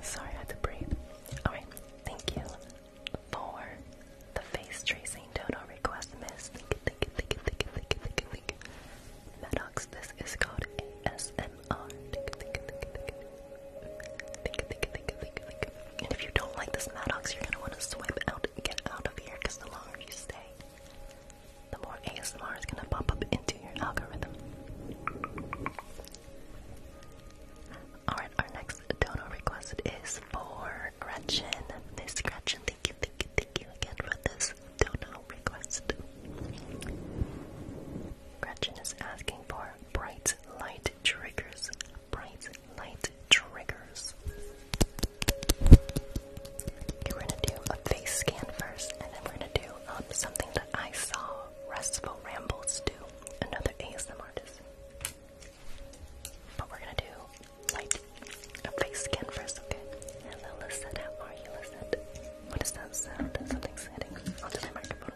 Sorry, I had to breathe. Alright, thank you for the face tracing dodo request, miss. Maddox, this is called ASMR. thank you. And if you don't like this Madox, you're gonna want to swipe out and get out of here because the longer you stay, the more ASMR is gonna pop up into your algorithm. Alright, our next dono request is for Gretchen. Miss Gretchen, thank you, thank you, thank you again for this dono request. Gretchen is asking for bright light triggers. Bright light triggers. we're gonna do a face scan first, and then we're gonna do um, something that I saw Restful Rambles do, another ASM artist. But we're gonna do light a face scan first, okay? Hello, Lisette. that sound? Something's hitting onto my microphone.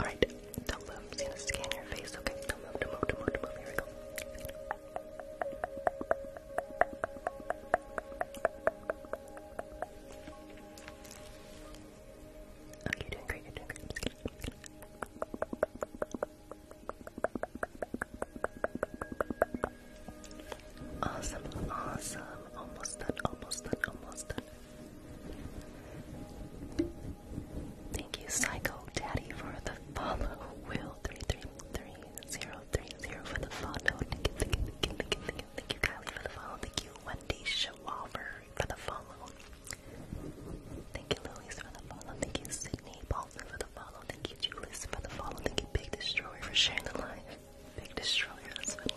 Alright, don't move. i gonna scan your face. Okay, don't move, don't move, don't move, don't move. Here we go. Okay, you doing great, you doing Awesome, awesome. Almost done, almost done, almost done. Thank you, Psycho Daddy, for the follow. Will 333030 for the follow. Thank you, thank you, thank you, thank you, thank you. Thank you, Kylie, for the follow. Thank you, Wendy Schwalber, for the follow. Thank you, Louise, for the follow. Thank you, Sydney for the follow. Thank you, Julius, for the follow. Thank you, Big Destroyer, for sharing the live. Big Destroyer, that's funny.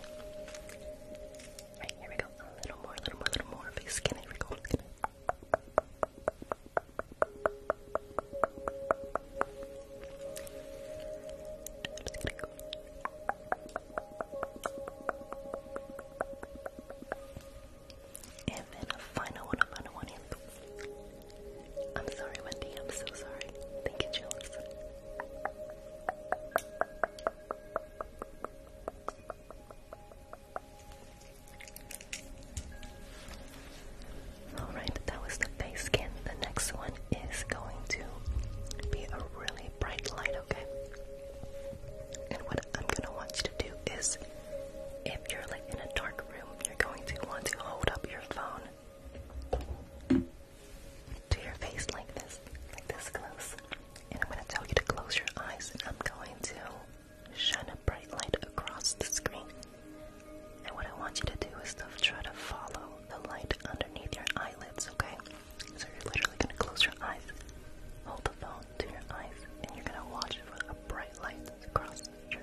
Right, here we go. A little more, a little more, a little more. Big skin, here we go. Skin. i going and then a final one, a final one. I'm sorry, Wendy. I'm so sorry. Thank you, Jules. Alright, that was the face skin. The next one is going to be a really bright light, okay? And what I'm gonna want you to do is if you're like in a dark room, you're going to want to hold up your phone to your face like this, like this close. And I'm going to tell you to close your eyes, and I'm going to shine a bright light across the screen. And what I want you to do is to try to follow the light underneath your eyelids, okay? So you're literally going to close your eyes, hold the phone to your eyes, and you're going to watch for a bright light across your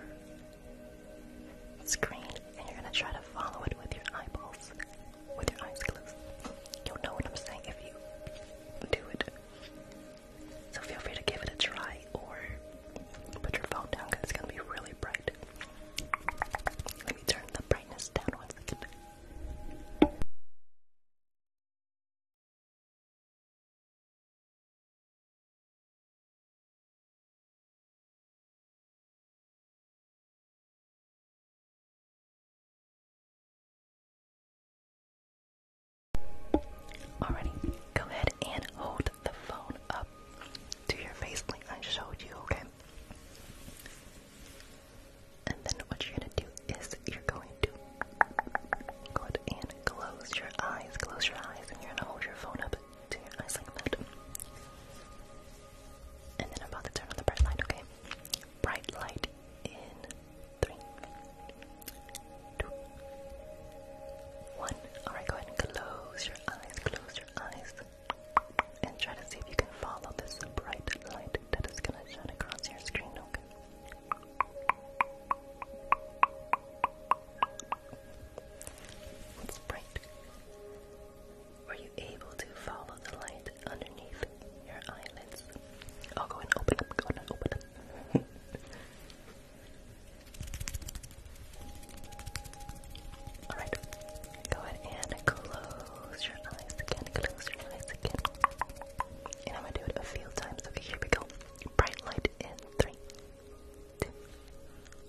screen and you're gonna try to follow it with your eyeballs, with your eyes closed. You'll know what I'm saying if you do it. So feel free to give it a try or put your phone down it's gonna be really bright. Let me turn the brightness down one second. Alrighty, go ahead and hold the phone up to your face like I showed you, okay? And then what you're gonna do is you're going to go ahead and close your eyes, close your eyes, and you're gonna hold your phone up to your eyes like that. And then I'm about to turn on the bright light, okay? Bright light in three, two, one. Alright, go ahead and close your eyes, close your eyes. And try to see if you can follow this bright light that is gonna shine across your screen, okay? bright. Were you able to follow the light underneath your eyelids? I'll go and open up, go and open Alright, go ahead and close your eyes again, close your eyes again. And I'm gonna do it a few times. Okay, here we go. Bright light in three, two,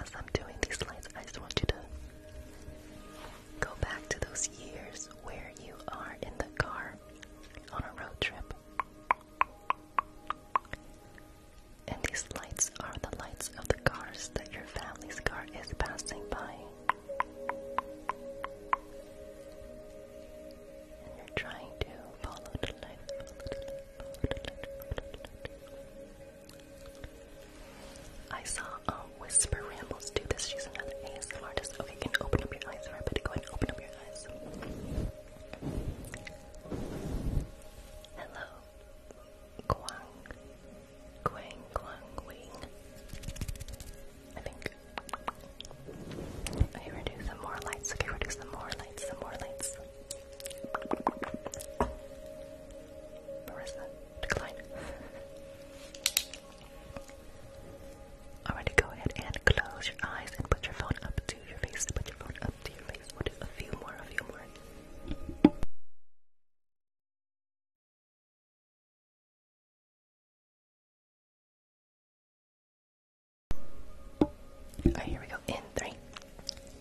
As I'm doing these lights, I just want you to go back to those years where you are in the car on a road trip. And these lights are the lights of the cars that your family's car is passing by. And you're trying to follow the light, I saw um, Whisper Rambles do this. She's another ASMR artist. Okay, can you open up your eyes, everybody. Go and open up your eyes. Hello. Guang. Guang, Guang, Wing. I think. Okay, reduce some more lights. Okay, reduce some more lights, some more lights. Where is go ahead and close your eyes and put your phone up to your face. Put your phone up to your face. We'll do a few more, a few more. Alright, here we go. In three,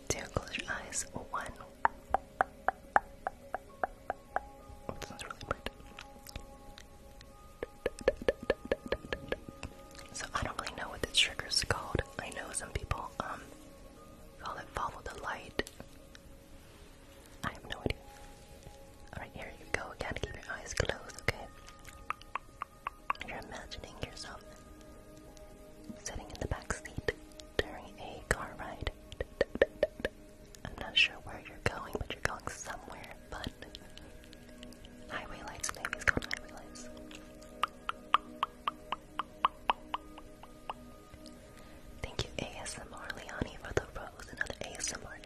two, close your eyes. One, so I don't really know what this trigger's called. I know some people um call it follow the light. I have no idea. Alright, here you go again. Keep your eyes closed, okay? You're imagining yourself sitting in the back seat during a car ride. I'm not sure where you're going, but you're going somewhere fun. Highway lights, maybe it's highway lights. Thank you, ASMR Leoni, for the rose, another ASMR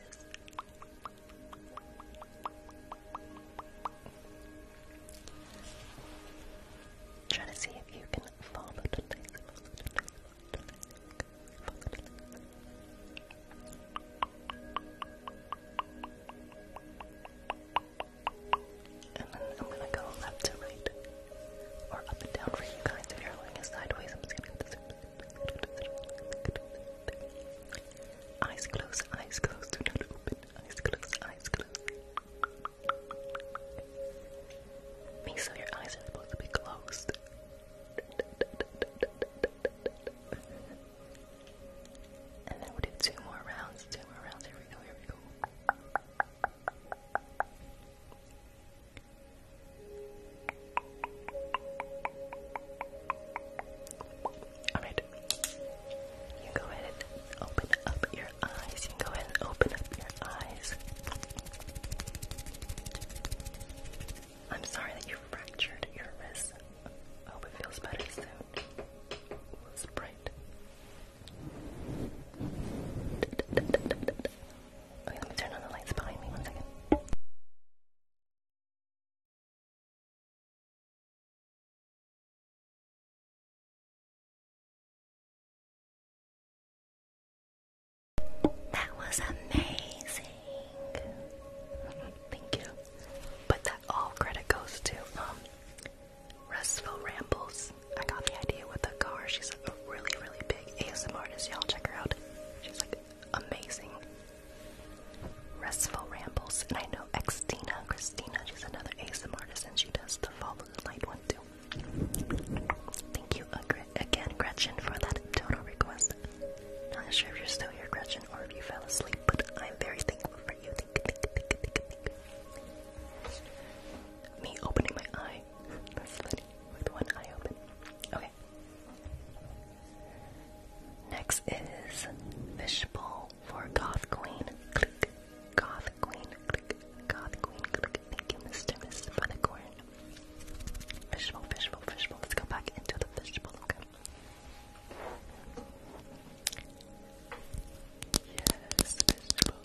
Try to see if you can and then I'm gonna go left to right, or up and down for you guys. If you're like sideways, I'm just Eyes closed, eyes closed, Eyes closed, eyes closed. Make sure your eyes are supposed to be closed. And then we do two more rounds, two more rounds. Here we go, here we go. Alright, you go ahead open up your eyes. go ahead and open up your eyes. I'm sorry that you fractured your wrist. hope it feels better soon. It's bright. Okay, let me turn on the lights behind me one second. That was amazing. Thank you. But that all credit goes to um Restful Rambles. I got the idea with the car. She's a really, really big ASMR artist. Y'all check her out. She's like amazing. Restful Rambles. And I know Xtina, Christina, she's another ASMR artist and she does the follow the light one too. Thank you again, Gretchen, for that dono request. Not sure if you're still here, Gretchen, or if you fell asleep, but I'm very thankful for you. Thank you, Me opening my eye. That's funny. With one eye open. Okay. Next is Fishbowl for goth Queen. Click. Goth Queen, Goth Queen, thank you, Mr. Mr. Funnicorn. Fishbowl, fishbowl, fishbowl. Let's go back into the fishbowl, okay? Yes, fishbowl.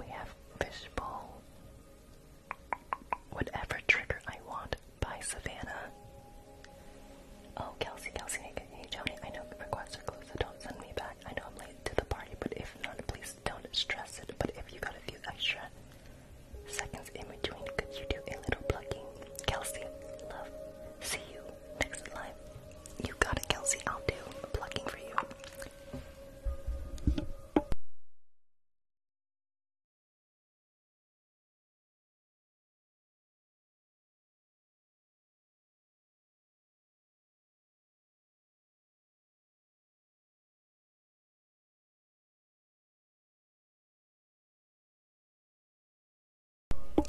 We have fishbowl. Whatever trigger I want by Savannah. Oh, Kelsey, Kelsey, hey, Joni, I know requests are closed, so don't send me back. I know I'm late to the party, but if not, please don't stress it. But if you got a few extra seconds in between, could you do a little plugging? Kelsey, love, see you next live. You got it, Kelsey. I'll do a plugging for you.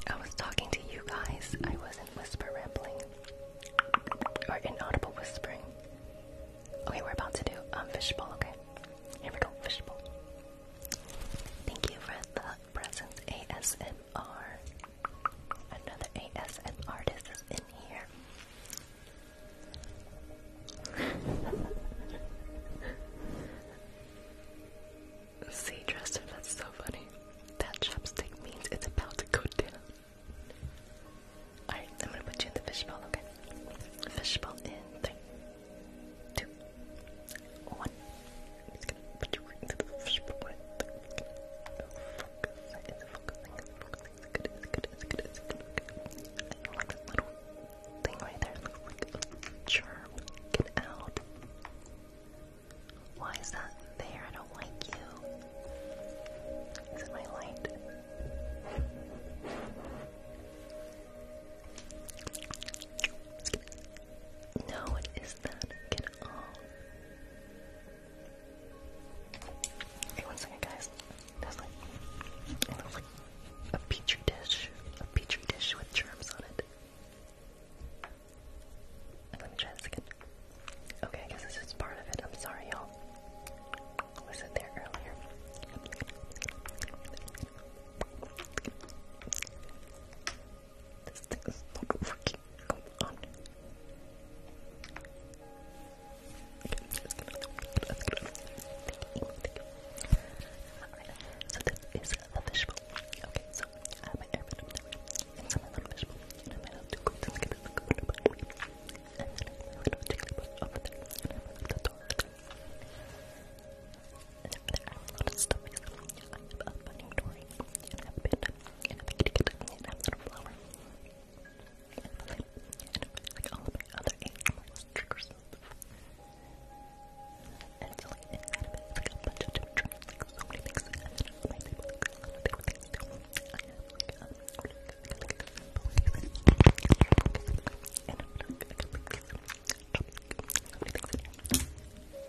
I was talking to you guys. I wasn't whisper rambling or inaudible whispering. Okay, we're about to do um fishbowl, okay? Here we go, fishbowl. Thank you for the Love Presence ASMR. Another ASM artist is in here. See, Tristan, that's so funny. That chopstick means it's about to go down. Alright, I'm gonna put you in the fishbowl, okay? Fishbowl in three, two, on. It's gonna put you right into the focus. It's focusing, it's focusing, it's good, it's good, it's good, it's good. I like this little thing right there. It looks like a charm. Get out. Why is that there? I don't like you. Is it my light? No, it is Hey, one second, guys. There's like, a petri dish, a petri dish with germs on it. Let me try Okay, I this is part of it. I'm sorry, y'all. Wasn't there earlier. This thing is not working. Come on. so this is a fishbowl. Okay, so I have my airbed up there. It's my little fishbowl. And I have to go to the kitchen and then I have a little jigglypuff over there. And I have the door there. And over I have a lot of stuff. I and a panda, and a kitty cat, and a little flower, and have a lamp, and have like all of my other animals, triggers and stuff. And so like inside of it, it's like a bunch of different triggers, like so many things. And then on my table, like a lot of different things too. I have like um, what do you guys like, like, like, and I'm like, I got like these, um, so many things in here.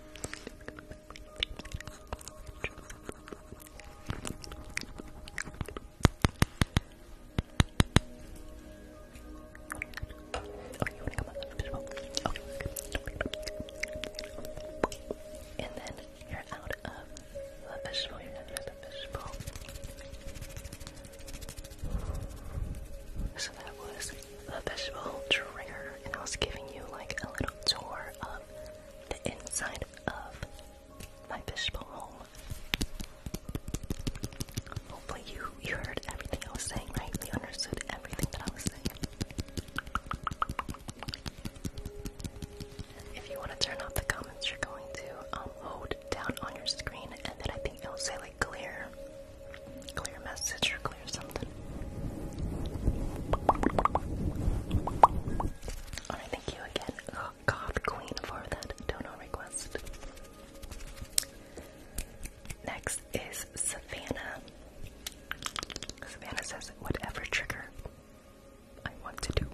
Okay, you And then you're out of the fishbowl, you're out of the fishbowl. So that was the visual trigger, and I was giving you like a little tour of the inside of my fishbowl home. Hopefully, you, you heard everything I was saying, right? You understood everything that I was saying. If you want to turn off the comments, you're going to um, hold down on your screen, and then I think it'll say like clear clear message or clear something. Alright, thank you again, oh, Queen, for that dono request. Next is Savannah. Savannah says, whatever trigger I want to do.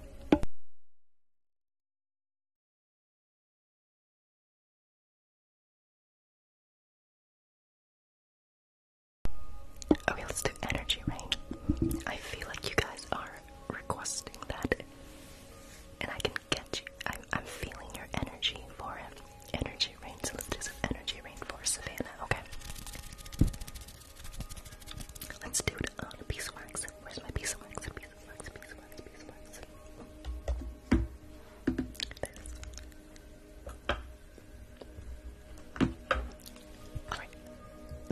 Okay, let's do energy rain. I feel like you guys are requesting that, and I can get you. I'm, feeling your energy for it. Energy rain, so let's do energy rain for Savannah, okay? Let's do a piece of wax. Where's my piece of wax? piece of wax, piece of wax, piece of wax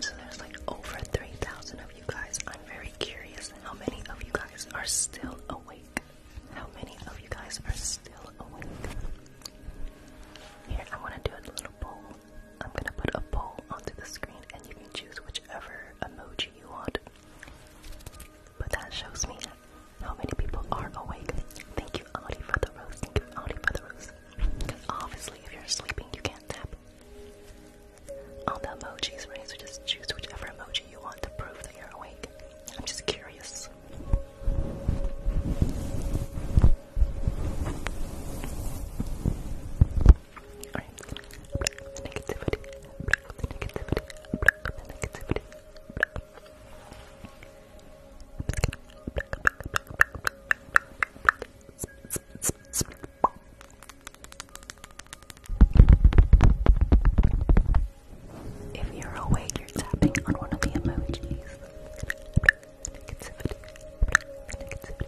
so there's like over 3,000 of you guys. I'm very curious how many of you guys are still awake. How many of you guys are still awake? Here, I want to do a little poll. I'm going to put a poll onto the screen and you can choose whichever emoji you want. But that shows me how many people are awake? Thank you, Audie, for the rose. Thank you, Audi, for the rose. Because obviously, if you're sleeping, you can't tap on the emojis, So just choose whichever emoji you want to prove that you're awake. I'm just curious. If you're awake, you're tapping on one of the emojis. Negativity. Negativity.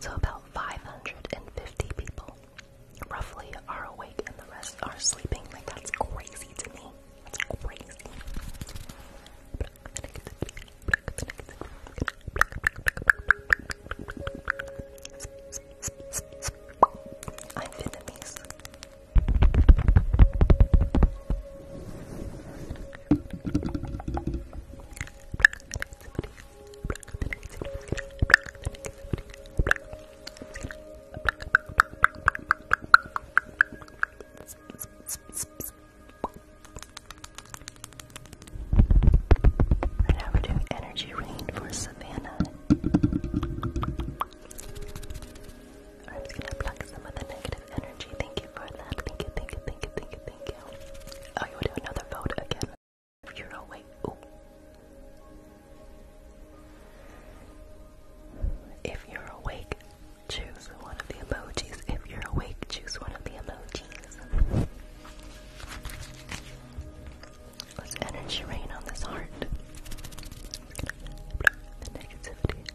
So, about 550 people roughly are awake and the rest are sleeping. Like, that's crazy to me. That's crazy. I'm Vietnamese. Right now we're doing energy rain for Savannah. I'm just gonna block some of the negative energy. Thank you for that. Thank you, thank you, thank you, thank you, Oh, you want another vote again? If you're awake. If you're awake, choose one of the emojis. If you're awake, choose one of the emojis. Let's energy rain on this heart.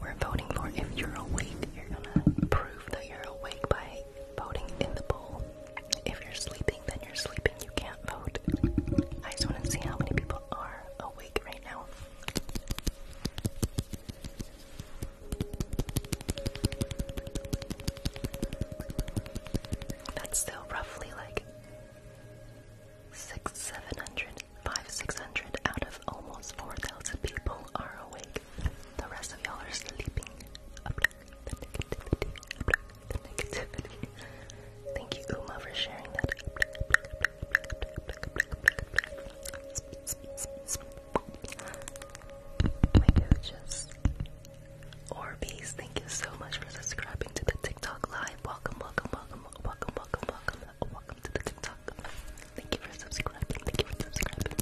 We're voting for if you're awake, you're gonna prove that you're awake by voting in the poll. If you're sleeping, then you're sleeping, you can't vote. I just wanna see how many people are awake right now. That's still roughly like Six, seven hundred, five, six hundred out of almost four thousand people are awake. The rest of y'all are sleeping. Thank you, Uma, for sharing that. My coaches. Orbeez, thank you so much for subscribing to the TikTok live. Welcome, welcome, welcome, welcome, welcome, welcome welcome to the TikTok. Thank you for subscribing. Thank you for subscribing.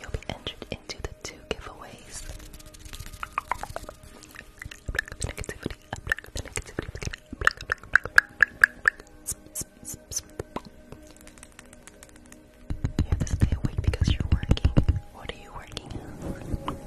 You'll be entered into the two giveaways. You have to stay awake because you're working. What are you working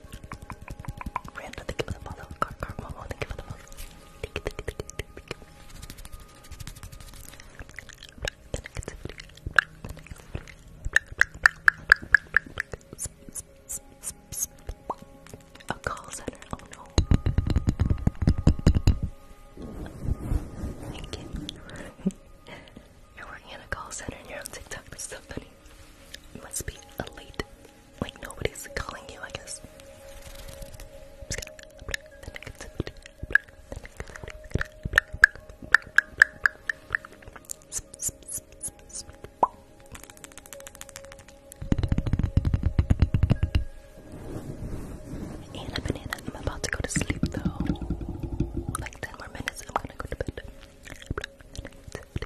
Randa, A call center. Oh no. you. are working at a call center and you're on TikTok. That's so funny. It must be elite like nobody's calling you, I guess. i banana. I'm about to go to sleep though. Like ten more minutes, I'm gonna go to bed. I'm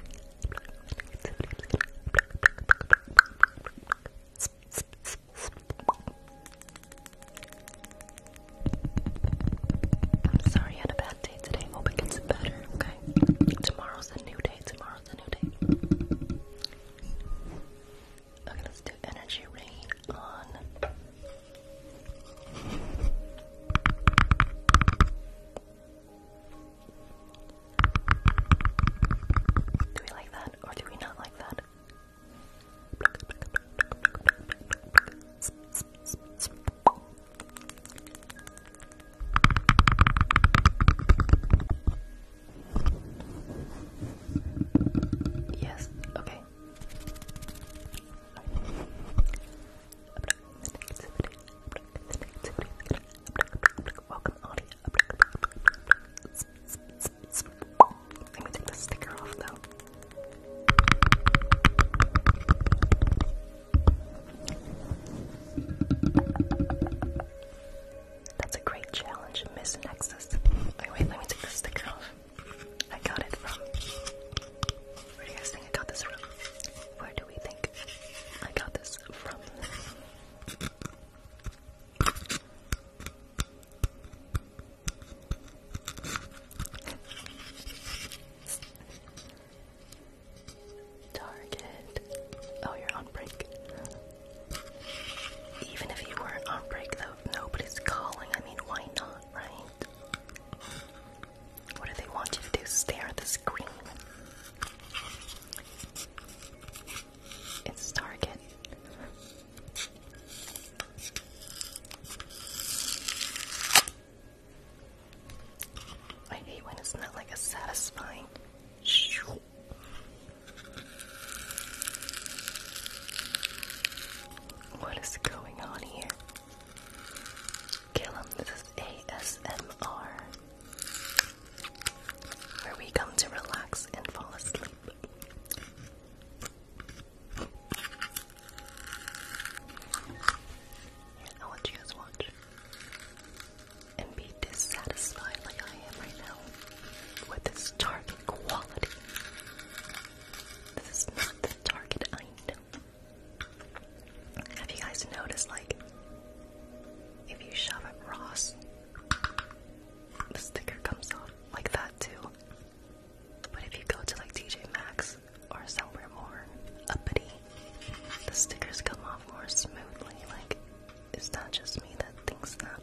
sorry I had a bad day today. Hope it gets better, okay? Tomorrow's a new day. Tomorrow's a new day. Okay, let's do energy rain on. Do we like that or do we not like that? Yes, okay. Let me take the sticker off, though. That's a great challenge, Miss Nexus. Wait, wait, let me take the sticker off. I got it from. Where do you guys think I got this from? Where we think? I got this from. Target. Oh, you're on break. Even if you weren't on break, though, nobody's calling. I mean, why not, right? What do they want you to do? Stare at the it's Target. I hate when it's not like a satisfying. What is going on here? Kill him. This is ASMR where we come to relax and fall asleep. I'll you guys watch and be dissatisfied like I am right now with this target quality. This is not the target I know. Have you guys noticed, like, if you shove it Ross, the sticker comes off like that too? But if you go to like TJ Maxx or somewhere more uppity, the stickers come off more smoothly. Like, it's not just me that thinks that.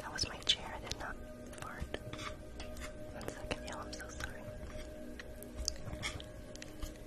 That was my chair, I did not fart. One second, y'all, I'm so sorry.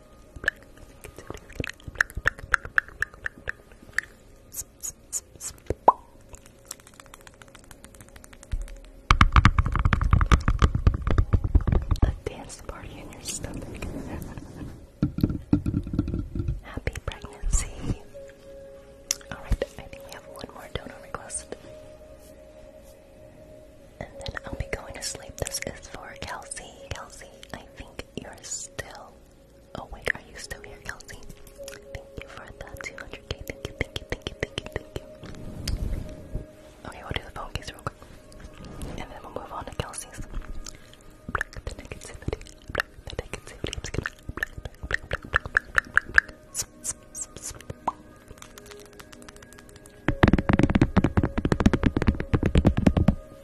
A dance party in your stomach. Happy pregnancy. Alright, I think we have one more donor request. And then I'll be going to sleep. This is for Kelsey. Kelsey, I think you're still Oh wait, are you still here, Kelsey? Thank you for the 200k. Thank you, thank you, thank you, thank you, thank you. Okay, we'll do the phone case real quick. And then we'll move on to Kelsey's.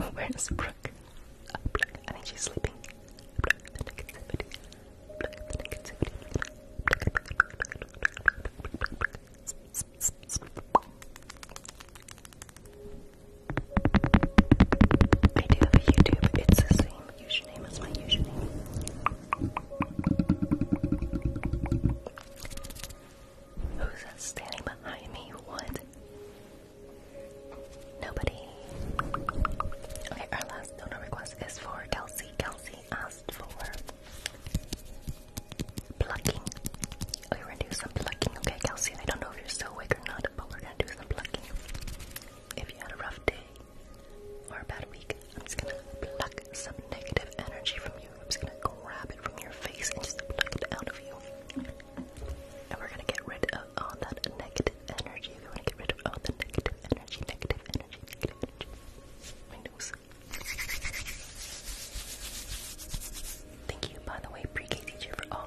Oh, Where's Brooke? Oh, Brooke? I think she's sleeping. Brooke, the negativity. Brooke, the negativity. Brooke, Brooke, Brooke, Brooke, Brooke, Brooke. I do have a YouTube. It's the same username as my username. Who's standing behind me? What? Nobody. Okay, our last donor request is for Kelsey. Kelsey asked for plucking we're gonna do some plucking, okay, Kelsey? I don't know if you're still awake or not, but we're gonna do some plucking. If you had a rough day or a bad week, I'm just gonna pluck some negative energy from you. I'm just gonna grab it from your face and just pluck it out of you. And we're gonna get rid of all that negative energy. We wanna get rid of all the negative energy, negative energy, negative energy. My nose. Thank you, by the way, pre-K teacher, for all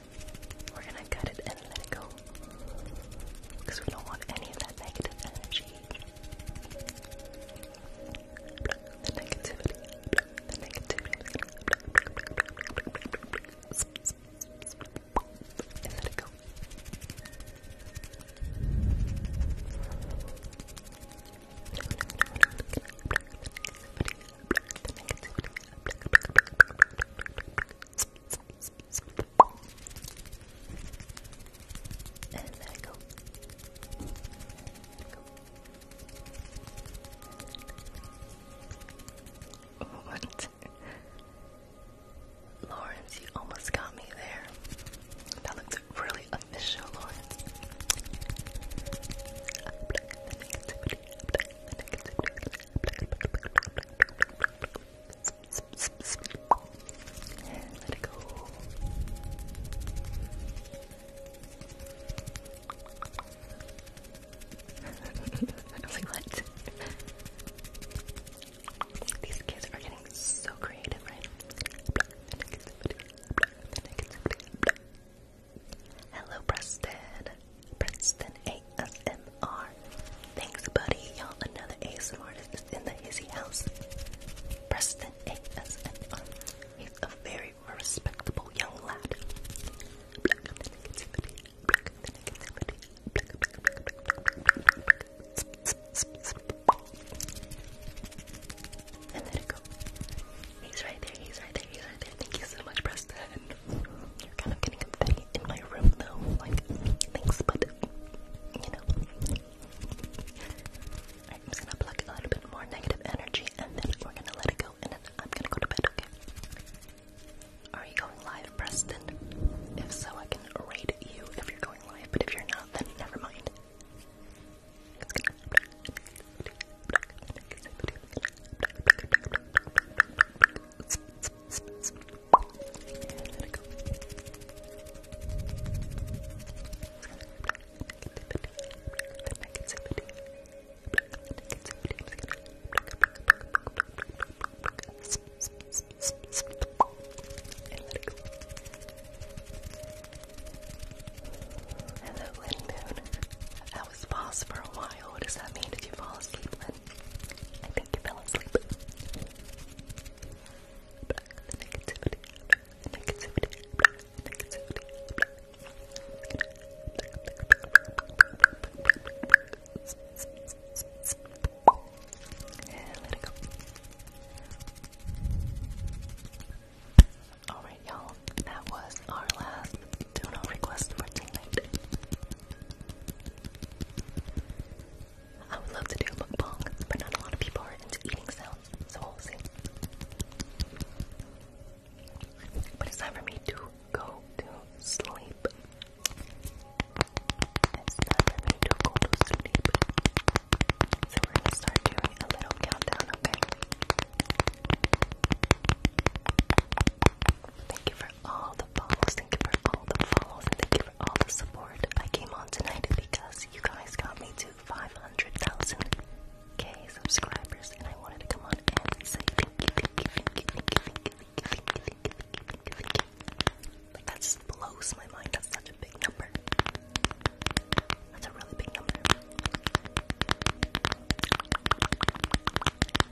We're gonna cut it and let it go. Because we don't want any of that negative energy. The negativity. The negativity. let it go. And there go. What? Lawrence, you almost got me there. That looks really official, Lawrence. Let it go. Wait, what? These kids are getting so creative, right? Hello, Preston. Preston ASMR. Thanks, buddy. Y'all, another ASMR is in the Hizzy house. Preston ASMR. He's a very respectable young lad. He's right there, he's right there, he's right there. Thank you so much, Preston. You're kind of getting confetti in my room though, like, thanks, but, you know. I'm gonna pluck a little bit more negative energy and then we're gonna let it go and then I'm gonna go to bed, okay? Are you going live, Preston? If so, I can raid you if you're going live, but if you're not, then never mind. And let it go. The negativity. And let it go. Hello, Lynn Boone. How was paused for a while. What does that mean? Did you fall asleep I think you fell asleep. Alright, y'all, that was our last dono request for tonight. I would love to do a mukbang, but not a lot of people are into eating sounds, so But it's time for me to go to sleep. It's time for me to go to sleep. So we're gonna start doing a little countdown, okay? Thank you for all the follows. Thank you for all the follows. And thank you for all the support. I came on tonight because you guys got me to 500,000 K subscribers, and I wanted to come on and say that just blows my mind. That's such a big number. That's a really big number.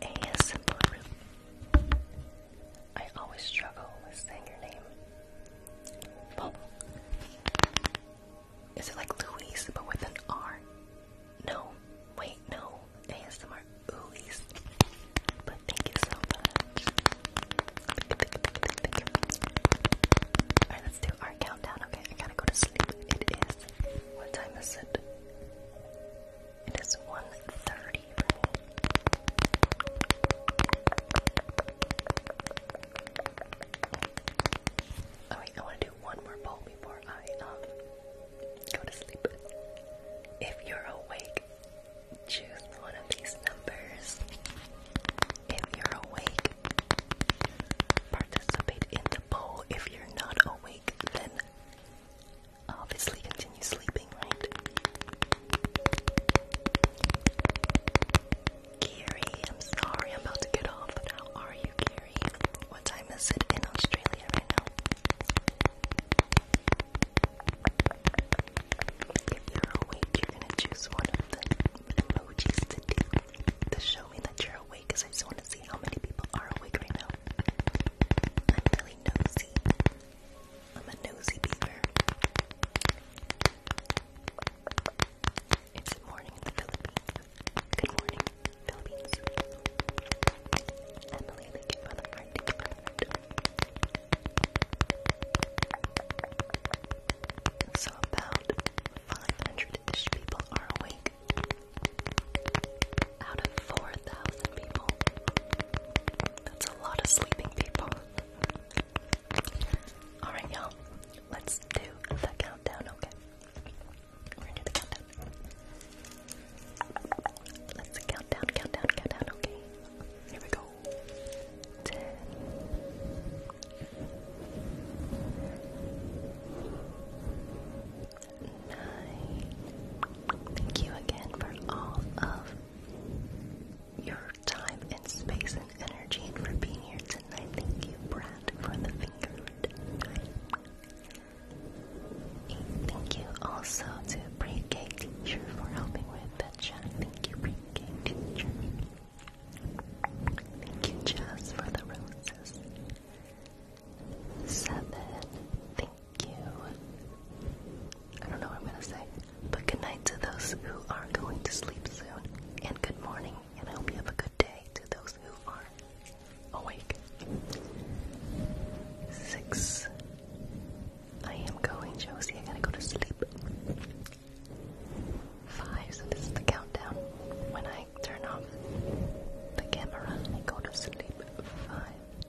ASMR I always struggle with saying your name. Is it like Louise but with an R? No. Wait, no. ASMR Louise. But thank you so much. Alright, let's do our countdown. Okay, I gotta go to sleep. It is. What time is it? It is 1.30 Oh I want to do one more poll before I um, go to sleep. If you're awake, choose one of these numbers. If you're awake, participate in the poll. If you're not awake, then obviously continue sleeping, right? Gary, I'm sorry I'm about to get off, are you, Gary? What time is it in Australia right now? If you're awake, you're gonna choose one of the emojis to show me that you're awake, because I just want to see how many people are awake right now. I'm a nosy beaver. It's morning in the Philippines. Good morning, Philippines. Emily, thank you for So about 500-ish people are awake out of 4,000 people. That's a lot of sleeping people. Alright, y'all, let's do the countdown, okay? We're gonna do the countdown. Let's count down, count down, count down, okay? Here we go. Ten night. Thank you again for all of your time and space and energy for being here tonight. Thank you, Brad, for the finger. knife. Thank you also to Pre-K Teacher for helping with the chat. Thank you, Pre-K Teacher. Thank you, Jess, for the roses. Seven. Thank you. I don't know what I'm gonna say. But good night to those who are going to sleep soon. And good morning. And I hope you have a good day to those who are awake. Six. I am going, Josie. I gotta go to sleep. Five. So this is the countdown. When I turn off the camera, I go to sleep. Five.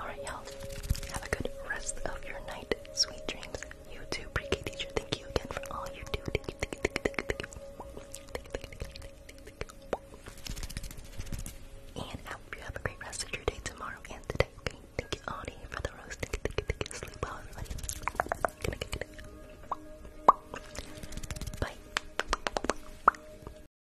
Alright, y'all. Have a good rest of your night. Sweet dreams. You too, pre K teacher. Thank you again for all you do. And I hope you have a great rest of your day tomorrow and today. Okay? Thank you, Audie, for the roast. Sleep well, Bye.